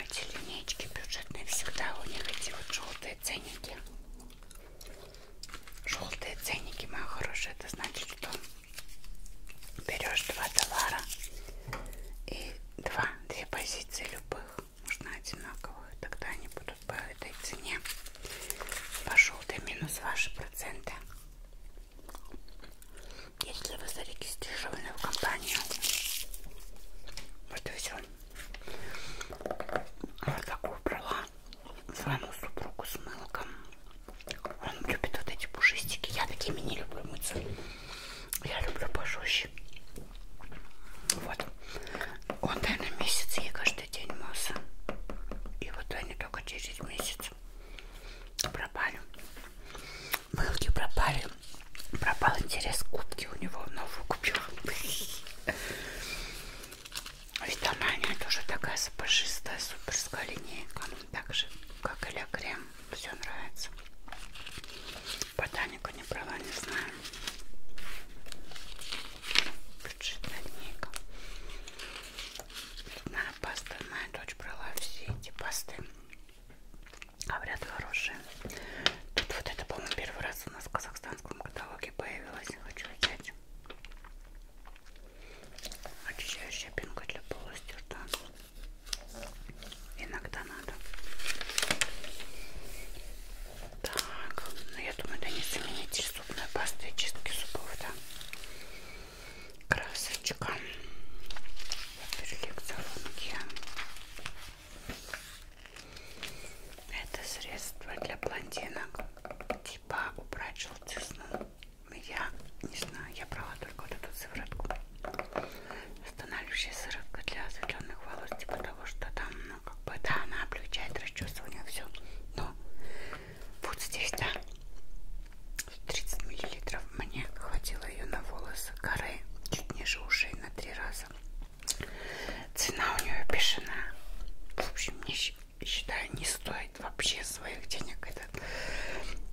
Эти линейки бюджетные всегда у них эти вот желтые ценники. Желтые ценники, моя хорошая, это значит, что берешь два товара и два, две позиции любых, нужно одинаковых, тогда они будут по этой цене. Пошел ты минус ваши проценты. Если вы зарегистрированы в компанию, вот и все. Вот такую брала своему супругу с мылком. Он любит вот эти пушистики. Я такими не люблю мыться. Я люблю пожестче. Вот. Он, наверное, месяц ей каждый день мылся. И вот они только через месяц пропали. Мылки пропали. Пропал интерес кубки у него. Новую купила. Ведь она, она тоже такая сапожистая, суперская линейка. Так же, как и ля крем все нравится. Ботанику не брала, не знаю. Бюджетная книга. Зубная паста. Моя дочь брала все эти пасты. Говорят, хорошие. Тут вот это, по-моему, первый раз у нас в казахстанском каталоге появилось. Хочу взять. Очищающая пенка для полости рта. Иногда надо. Так, ну я думаю, это не заменитель зубной пасты и чистки зубов, да? Красочка. Перлик салонки. Это средство для блондинок. Типа убрать желтизну. Я не знаю, я брала только вот эту сыворотку восстанавливающая сыровка для осветленных волос, типа того, что там, ну, как бы, да, она облегчает расчесывание, все. Но вот здесь, да, 30 миллилитров мне хватило ее на волосы коры, чуть ниже ушей на три раза. Цена у нее бешеная. В общем, мне считаю, не стоит вообще своих денег. Это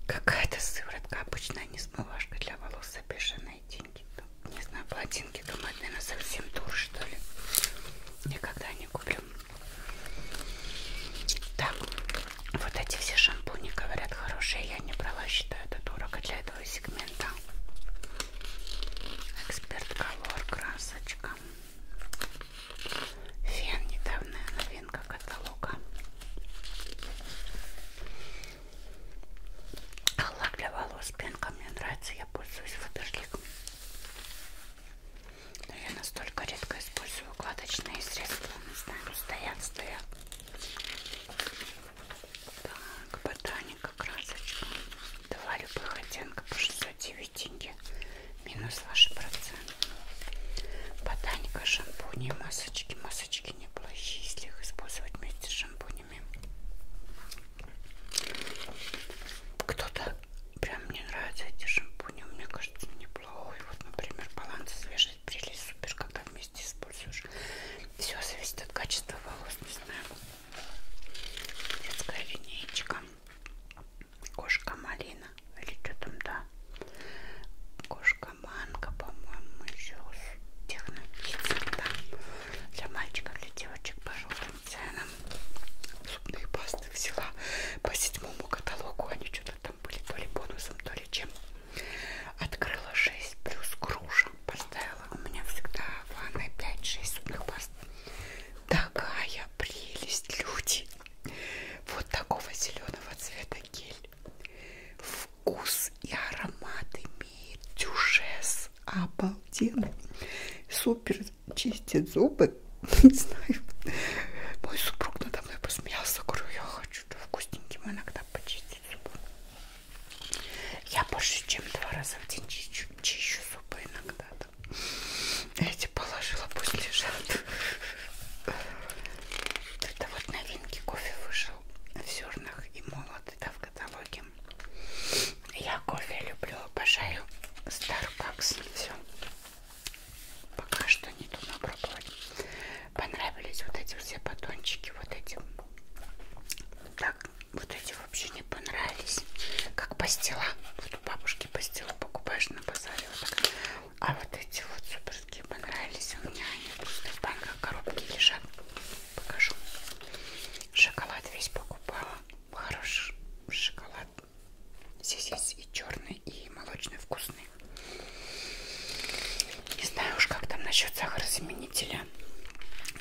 какая-то сыворотка обычно не смывашка для волос за бешеные деньги. Ну, не знаю, плотинки думают, наверное, совсем дур, что ли. Никогда не куплю. Так, вот эти все шампуни, говорят, хорошие. Я не брала, считаю, это дорого для этого сегмента. Эксперт Color, красочка. Фен, недавняя новинка каталога лак для волос пенка мне нравится, я пользуюсь Фаберлик. Но я настолько редко использую укладочные средства, не знаю, стоят, стоят. Так, ботаника, красочка. Два любых оттенка по 609 тенге. Минус ваши процент. Ботаника, шампуни, масочки, масочки кисточки неплохие, если их использовать вместе с шампунями. Кто-то прям мне нравятся эти шампуни, мне кажется, неплохой. Вот, например, баланс свежий прелесть супер, когда вместе используешь. Все зависит от качества волос, не знаю. Детская линейка. Кошка малина. Или что там, да? Кошка а манго, по-моему, еще тех напитков, да, для мальчиков, для девочек по желтым ценам. Зубные пасты взяла по седьмому каталогу, они что-то там были то ли бонусом, то ли чем. Открыла 6 плюс груша, поставила. У меня всегда в ванной 5-6 зубных паст. Такая прелесть, люди! Вот такого зеленого цвета гель вкус и аромат имеет дюшес обалденный супер чистит зубы не знаю мой супруг надо мной посмеялся говорю я хочу да вкусненьким иногда почистить зубы я больше чем два раза в день чищу, чищу зубы иногда да. эти положила пусть лежат это вот новинки кофе вышел в зернах и молот это в каталоге. Я кофе люблю, обожаю Starbucks. Все. Пока что не думаю пробовать. Понравились вот эти все батончики, вот эти. Так, вот эти вообще не понравились. Как пастила. Вот у бабушки пастилу покупаешь на базаре. Вот так. А вот эти вот супер такие понравились у меня. Они просто в банках коробки лежат. Покажу. Шоколад весь покупала. Хороший шоколад. Здесь есть и черный, и молочный вкусный. Не знаю уж, как там насчет сахарозаменителя.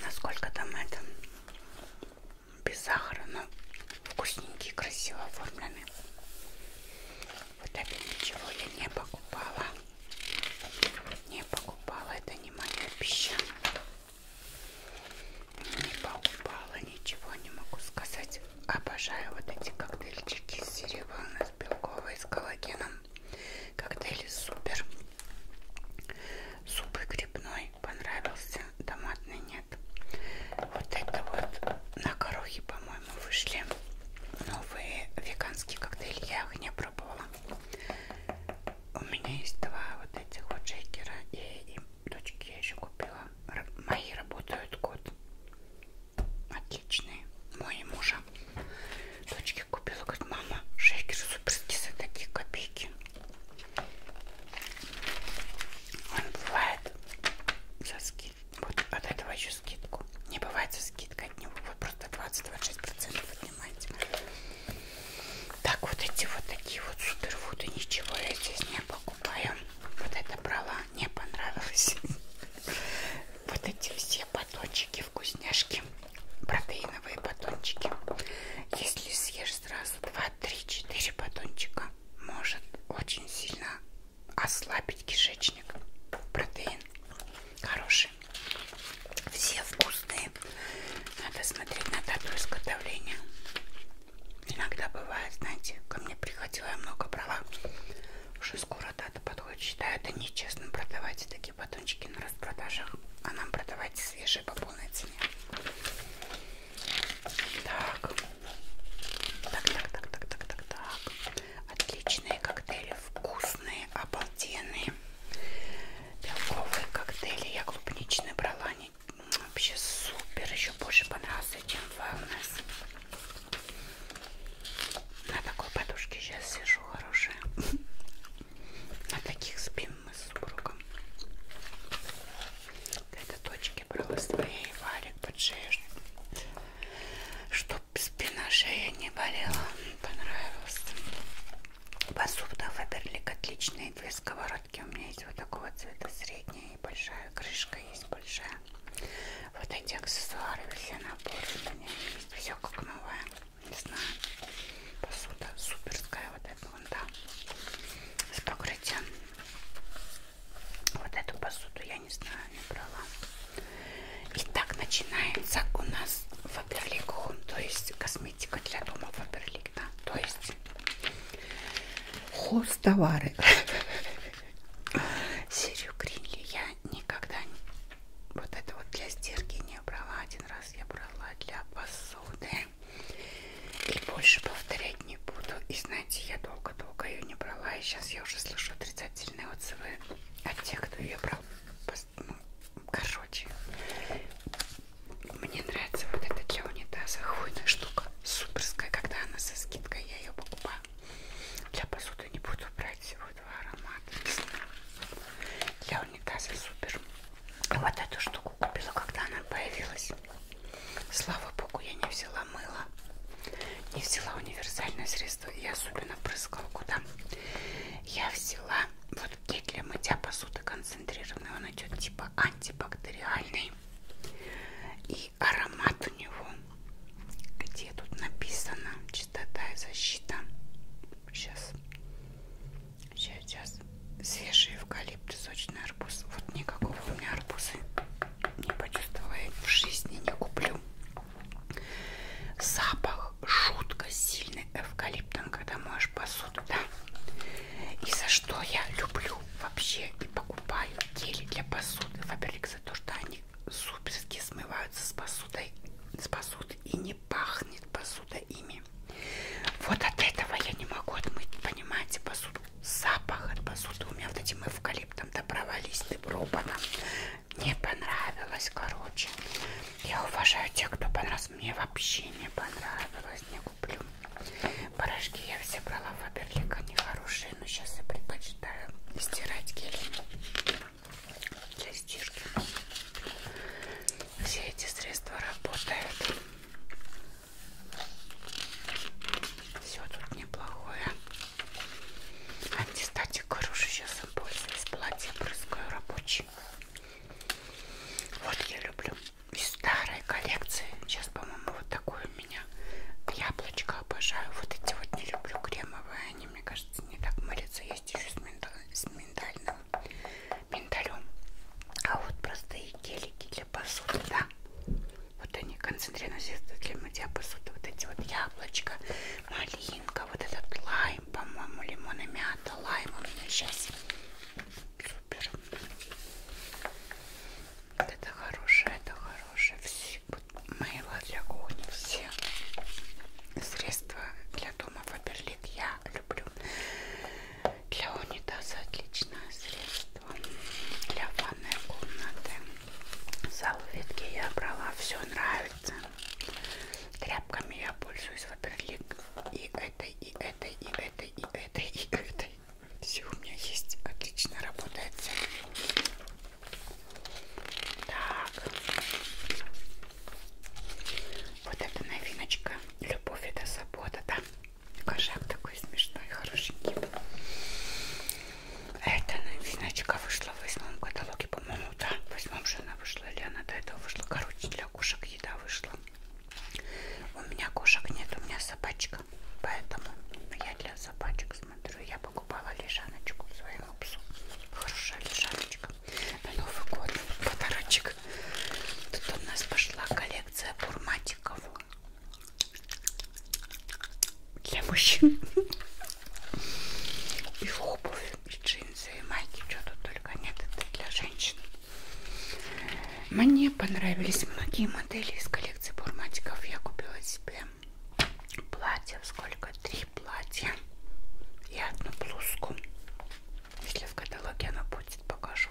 Насколько там это без сахара, но вкусненькие, красиво оформлены. Вот опять ничего я не покупала. Не покупала, это не моя пища. Не покупала, ничего не могу сказать. Обожаю вот эти коктейльчики из серебряной, с белковой, с коллагеном. Коктейли супер. Суп и грибной понравился, томатный нет. Вот это вот на корохе, по-моему, вышли новые веганские коктейли. Я их не пробовала. У меня есть два вот этих вот шейкера. И им дочки я еще купила. Мои работают год. Отличные. Мой и мужа. Дочке купила, говорит, мама, шейкер суперскис, это такие копейки. Он бывает за скидку. Вот от этого еще скидку. Не бывает за скидкой от него. Вот просто 20-26% от него понимаете. Так, вот эти вот такие вот суперфуды, ничего я здесь не покупаю. Вот это брала, не понравилось. Вот эти все батончики, вкусняшки, протеиновые батончики. Если съешь сразу 2, 3, 4 батончика, может очень сильно ослабить кишечник. Протеин хороший хорошие. Все вкусные. Надо смотреть на дату изготовления. Иногда бывает, знаете, ко мне приходила, я много брала. Уже скоро дата подходит. Считаю, это нечестно продавать такие батончики на распродажах. А нам продавайте свежие по полной цене. Так. Так, так, так, так, так, так, так. Отличные коктейли. Вкус классные, обалденные белковые коктейли. Я клубничный брала, они вообще супер. Еще больше понравился, чем Wellness. На такой подушке сейчас сижу, хорошая. На таких спим мы с супругом. Это точки брала своей варик под шею, чтобы спина шея не болела понравился посуда фаберлик отличные две сковородки у меня есть вот такого цвета средняя и большая крышка есть большая вот эти аксессуары все наборы у меня есть все как новое не знаю посуда суперская вот эта вон там с покрытием вот эту посуду я не знаю не брала Итак, начинается у нас Фаберлик Home, то есть косметика для дома Фаберлик, да? то есть хоз-товары. Серию Гринли я никогда не... Вот это вот для стирки не брала. Один раз я брала для посуды. И больше повторять не буду. И знаете, я долго-долго ее не брала. И сейчас я уже слышу отрицательные отзывы от тех, кто ее брал короче, мне нравится вот эта для унитаза хвойная штука, суперская, когда она со скидкой, я ее покупаю. Для посуды не буду брать всего два аромата, не знаю. Для унитаза супер. Вот эту штуку купила, когда она появилась. Слава богу, я не взяла мыло, не взяла универсальное средство, я особенно прыскалку там. Я взяла вот гель для мытья посуды концентрированный, он идет типа антибактериальный. И аромат у него, где тут написано, чистота и защита. Сейчас, сейчас, сейчас. Свежий эвкалипт, сочный арбуз. Вот никакого у меня арбузы не почувствовала, я в жизни не куплю. Запах шутка сильный эвкалиптом, когда моешь посуду, да? И за что я люблю вообще и покупаю гели для посуды Фаберлик за то, что они суперски смываются с посудой, с посуды и не пахнет посуда ими. Вот от этого я не могу отмыть, понимаете, посуду. Запах от посуды у меня вот этим эвкалиптом, да провались ты пробана не понравилось, короче. Я уважаю тех, кто понравился. Мне вообще не понравилось, не куплю. Порошки я все брала в Аберлик, они хорошие, но сейчас я предпочитаю стирать гелем для стирки. Все эти средства работают. Все тут неплохое. Антистатик хороший, сейчас им пользуюсь. Платье брызгаю рабочий. Вот я люблю из старой коллекции. Сейчас, по-моему, вот такое у меня яблочко обожаю. Вот эти вот не люблю кремовые. Они, мне кажется, не так морятся. Есть еще с, минда... с миндальным миндалем. А вот простые гелики для посуды, да. Вот они концентрированные средства для мытья посуды. Вот эти вот яблочко, малина новинка, вот этот лайм, по-моему, лимон и мята, лайм у меня сейчас супер. Вот это хорошее, это хорошее, все, мыло для кухни, все средства для дома Фаберлик я люблю. Для унитаза отличное средство, для ванной комнаты. Салфетки я брала, все нравится. Тряпками я пользуюсь, во-первых, и этой, и этой, и этой, и этой, и этой. Все у меня есть. Отлично работает. Так. Вот эта новиночка. Любовь это забота, да? Кошак такой смешной, хорошенький. Эта новиночка вышла в восьмом каталоге, по-моему, да? В восьмом же она вышла, или она до этого вышла. Короче, для кошек еда вышла. У меня кошек нет, у меня собачка. Поэтому я для собачек смотрю. Я покупала лежаночку своему псу. Хорошая лежаночка. На Новый год подарочек. Тут у нас пошла коллекция бурматиков. Для мужчин. И обувь и джинсы, и майки, что тут только нет, это для женщин. Мне понравились многие модели из коллекции бурматиков. Я купила себе платье, сколько? Три платья и одну блузку. Если в каталоге она будет, покажу.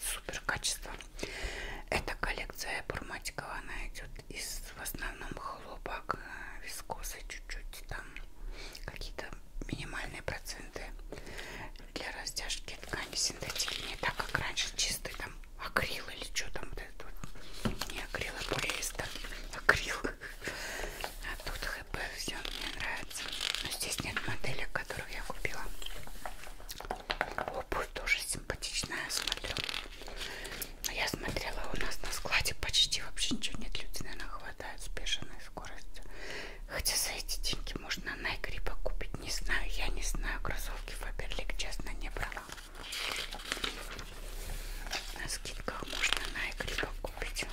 Супер качество. Эта коллекция бурматикова, она идет из в основном хлопок, э, вискозы чуть-чуть там какие-то минимальные проценты для растяжки ткани синтетики не так как раньше чистый там акрил или что там вот этот вот. не акрил а полиэстер акрил а тут хп все мне нравится но здесь нет моделек которых я купила обувь тоже симпатичная смотрю но я смотрела у нас на складе почти вообще ничего нет люди наверное хватает с бешеной скоростью Хотя за эти деньги можно на игре покупать. Не знаю, я не знаю. Кроссовки Фаберлик, честно, не брала. На скидках можно на игре покупать.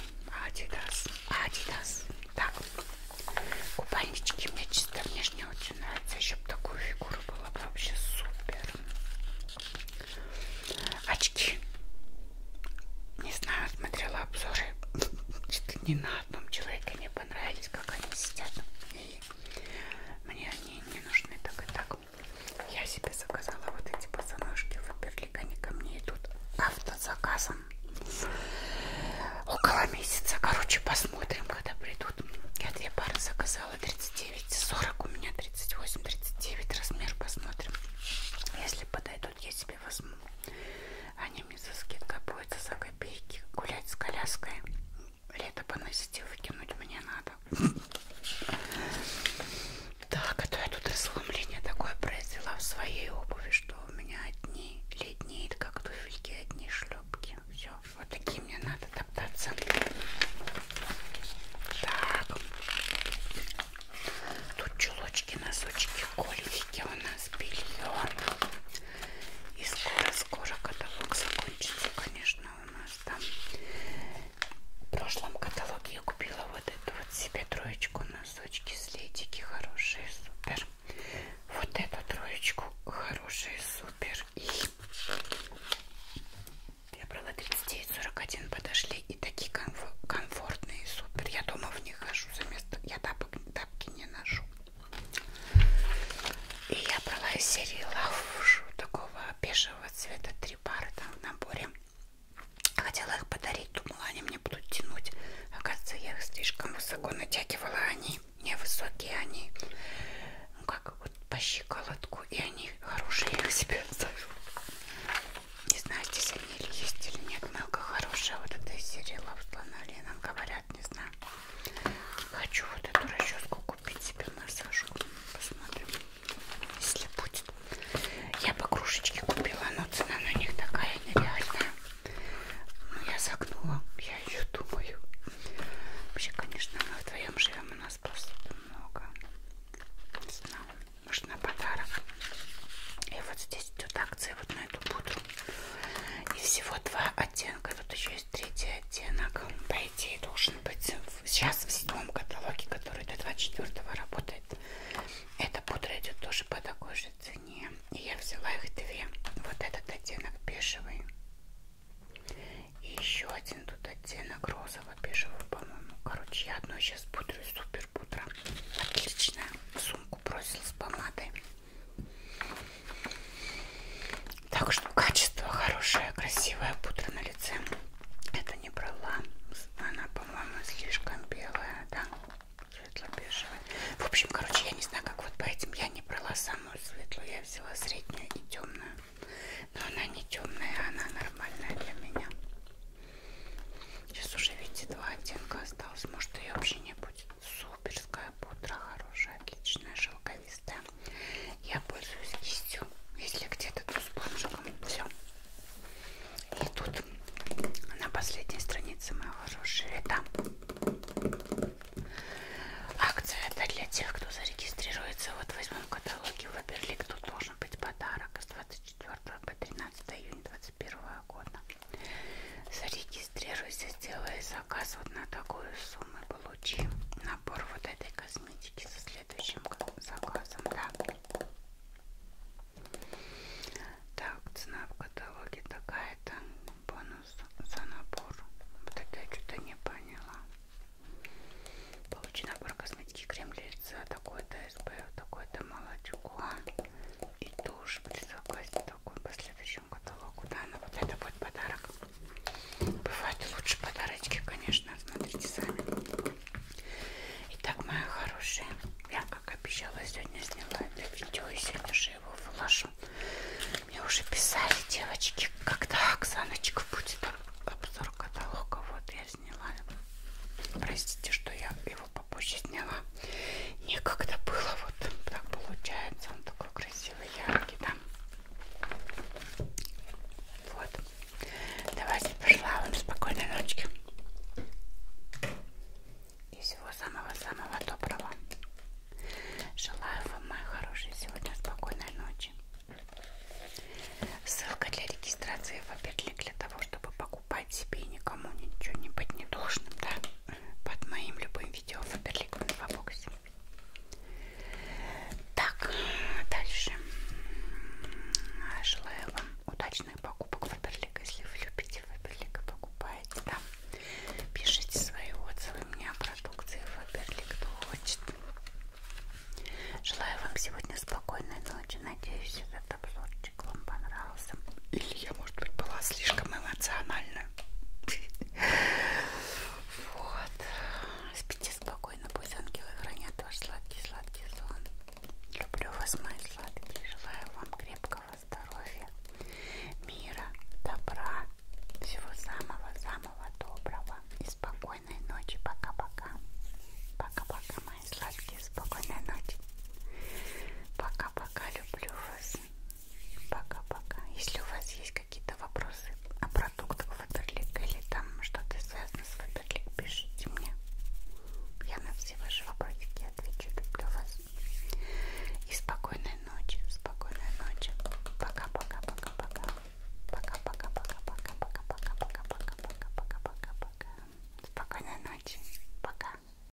Адидас. Адидас. Так. Купальнички мне чисто внешне очень нравятся. Еще бы такую фигуру было бы вообще супер. Очки. Не знаю, смотрела обзоры. Чуть не на одном человеке мне понравились, как они сидят. И мне они не нужны так и так. Я себе заказала вот эти пацанушки в Берлик, они ко мне идут автозаказом. Около месяца, короче, посмотрим, когда придут. Я две пары заказала, 39 40, у меня 38-39 размер, посмотрим. Если подойдут что-нибудь я себе возьму. Они мне за скидкой будут за копейки гулять с коляской. Лето поносить и выкинуть мне надо. Так, а то я тут разломление такое произвела в своей обуви, что у меня одни леднеет, как туфельки, одни шлепки. Все, вот такие мне надо топтаться. Так, Тут чулочки, носочки, колечки у нас белье. И скоро-скоро каталог закончится, конечно, у нас там. В прошлом каталоге я купила вот эту вот себе троечку, носочки, слетики хорошие, супер. Вот эту троечку хорошие, супер. И я брала 39-41, подошли и такие комфортные, супер. Я дома в них хожу за место, я тапок, тапки не ношу. И я брала из серии лавшу такого бежевого цвета, три пары там в наборе. Хотела их подарить, думала, они мне будут тянуть. Оказывается, я их слишком высоко натягивала, они невысокие, они ну как вот по щиколотку, и они хорошие, я их себе оставила. Не знаю, здесь они или есть, или нет. Мелко хорошая вот эта из серии Love Слона Леном. Говорят, не знаю. Хочу вот эту расческу купить себе массажку. Посмотрим, если будет. Я покружечки купила, но цена на них такая нереальная. Но ну, я загнула, я ее думаю. Вообще, конечно, мы вдвоем живем, у нас просто много. Не знаю, может на подарок. И вот здесь идет акция, вот на эту пудру. И всего два оттенка. Тут еще есть третий оттенок. По идее должен быть сейчас в седьмом каталоге, который до 24 работает. Эта пудра идет тоже по такой же цене. И я взяла их две. Вот этот оттенок бежевый. И еще один тут оттенок розово-бежевый, по-моему. Короче, я одну сейчас пудрю. Супер пудра. Отличная. С сумку бросил с помадой. Так что качество хорошее, красивая пудра на лице. Это не брала. Она, по-моему, слишком белая, да? Светло-бежевая. В общем, короче, я не знаю, как вот по этим. Я не брала самую светлую, я взяла среднюю и темную. Но она не темная, она нормальная для меня. Сейчас уже, видите, два оттенка осталось. Может, ее вообще не будет. Суперская пудра, хорошая, отличная, шелковистая. Я пользуюсь кистью, если где-то, то спонжиком. Все. И тут на последней странице моего хорошего там акция это для тех, кто зарегистрируется. Вот в восьмом каталоге выберли, кто должен быть подарок с 24 по 13 июня 2021 года. Зарегистрируйся, сделай заказ вот на такую сумму. Получи набор вот этой косметики со следующим заказом. Да. Так, цена в каталоге такая-то. Бонус за набор. Вот это я что-то не поняла. Получи набор косметики крем для лица. Такой-то СП, такой-то молочко и тушь предзаказ такой по следующему каталогу да но ну вот это будет подарок бывают лучше подарочки конечно смотрите сами итак моя хорошая я как обещала сегодня сняла это видео и сегодня же его вложу мне уже писали девочки когда Оксаночка будет обзор каталога вот я сняла простите что я его попозже сняла. Некогда было, вот так получается. Он такой красивый, яркий, да. Вот. Давайте пожелаю вам спокойной ночи. И всего самого-самого доброго. Желаю вам, мои хорошие, сегодня спокойной ночи. Ссылка для регистрации в опять для того, чтобы покупать себе и никому ничего не быть не должным, да? под моим любым видео Фаберлик в инфобоксе. Так, дальше. Желаю вам удачных покупок Фаберлик. Если вы любите Фаберлик и покупаете, да, пишите свои отзывы мне о продукции Фаберлик, кто хочет. Желаю вам сегодня спокойной ночи. Надеюсь, этот обзорчик вам понравился. Или я, может быть, была слишком эмоциональна. Вот. Спите спокойно, пусть ангелы хранят ваш сладкий-сладкий сон. Люблю вас, мои сладкие. Желаю вам крепкого здоровья, мира, добра, всего самого-самого доброго. И спокойной ночи. Пока-пока. Пока-пока, мои сладкие. Спокойной ночи. Пока-пока. Люблю вас. Пока-пока. Если у вас есть какие-то вопросы о продуктах Фаберлик или там что-то связано с Фаберлик, пишите мне. Я на все ваши вопросики отвечу. Люблю вас. И спокойной ночи. Спокойной ночи. Пока-пока-пока-пока. Пока-пока-пока-пока-пока-пока-пока-пока-пока-пока-пока. Спокойной ночи. Пока.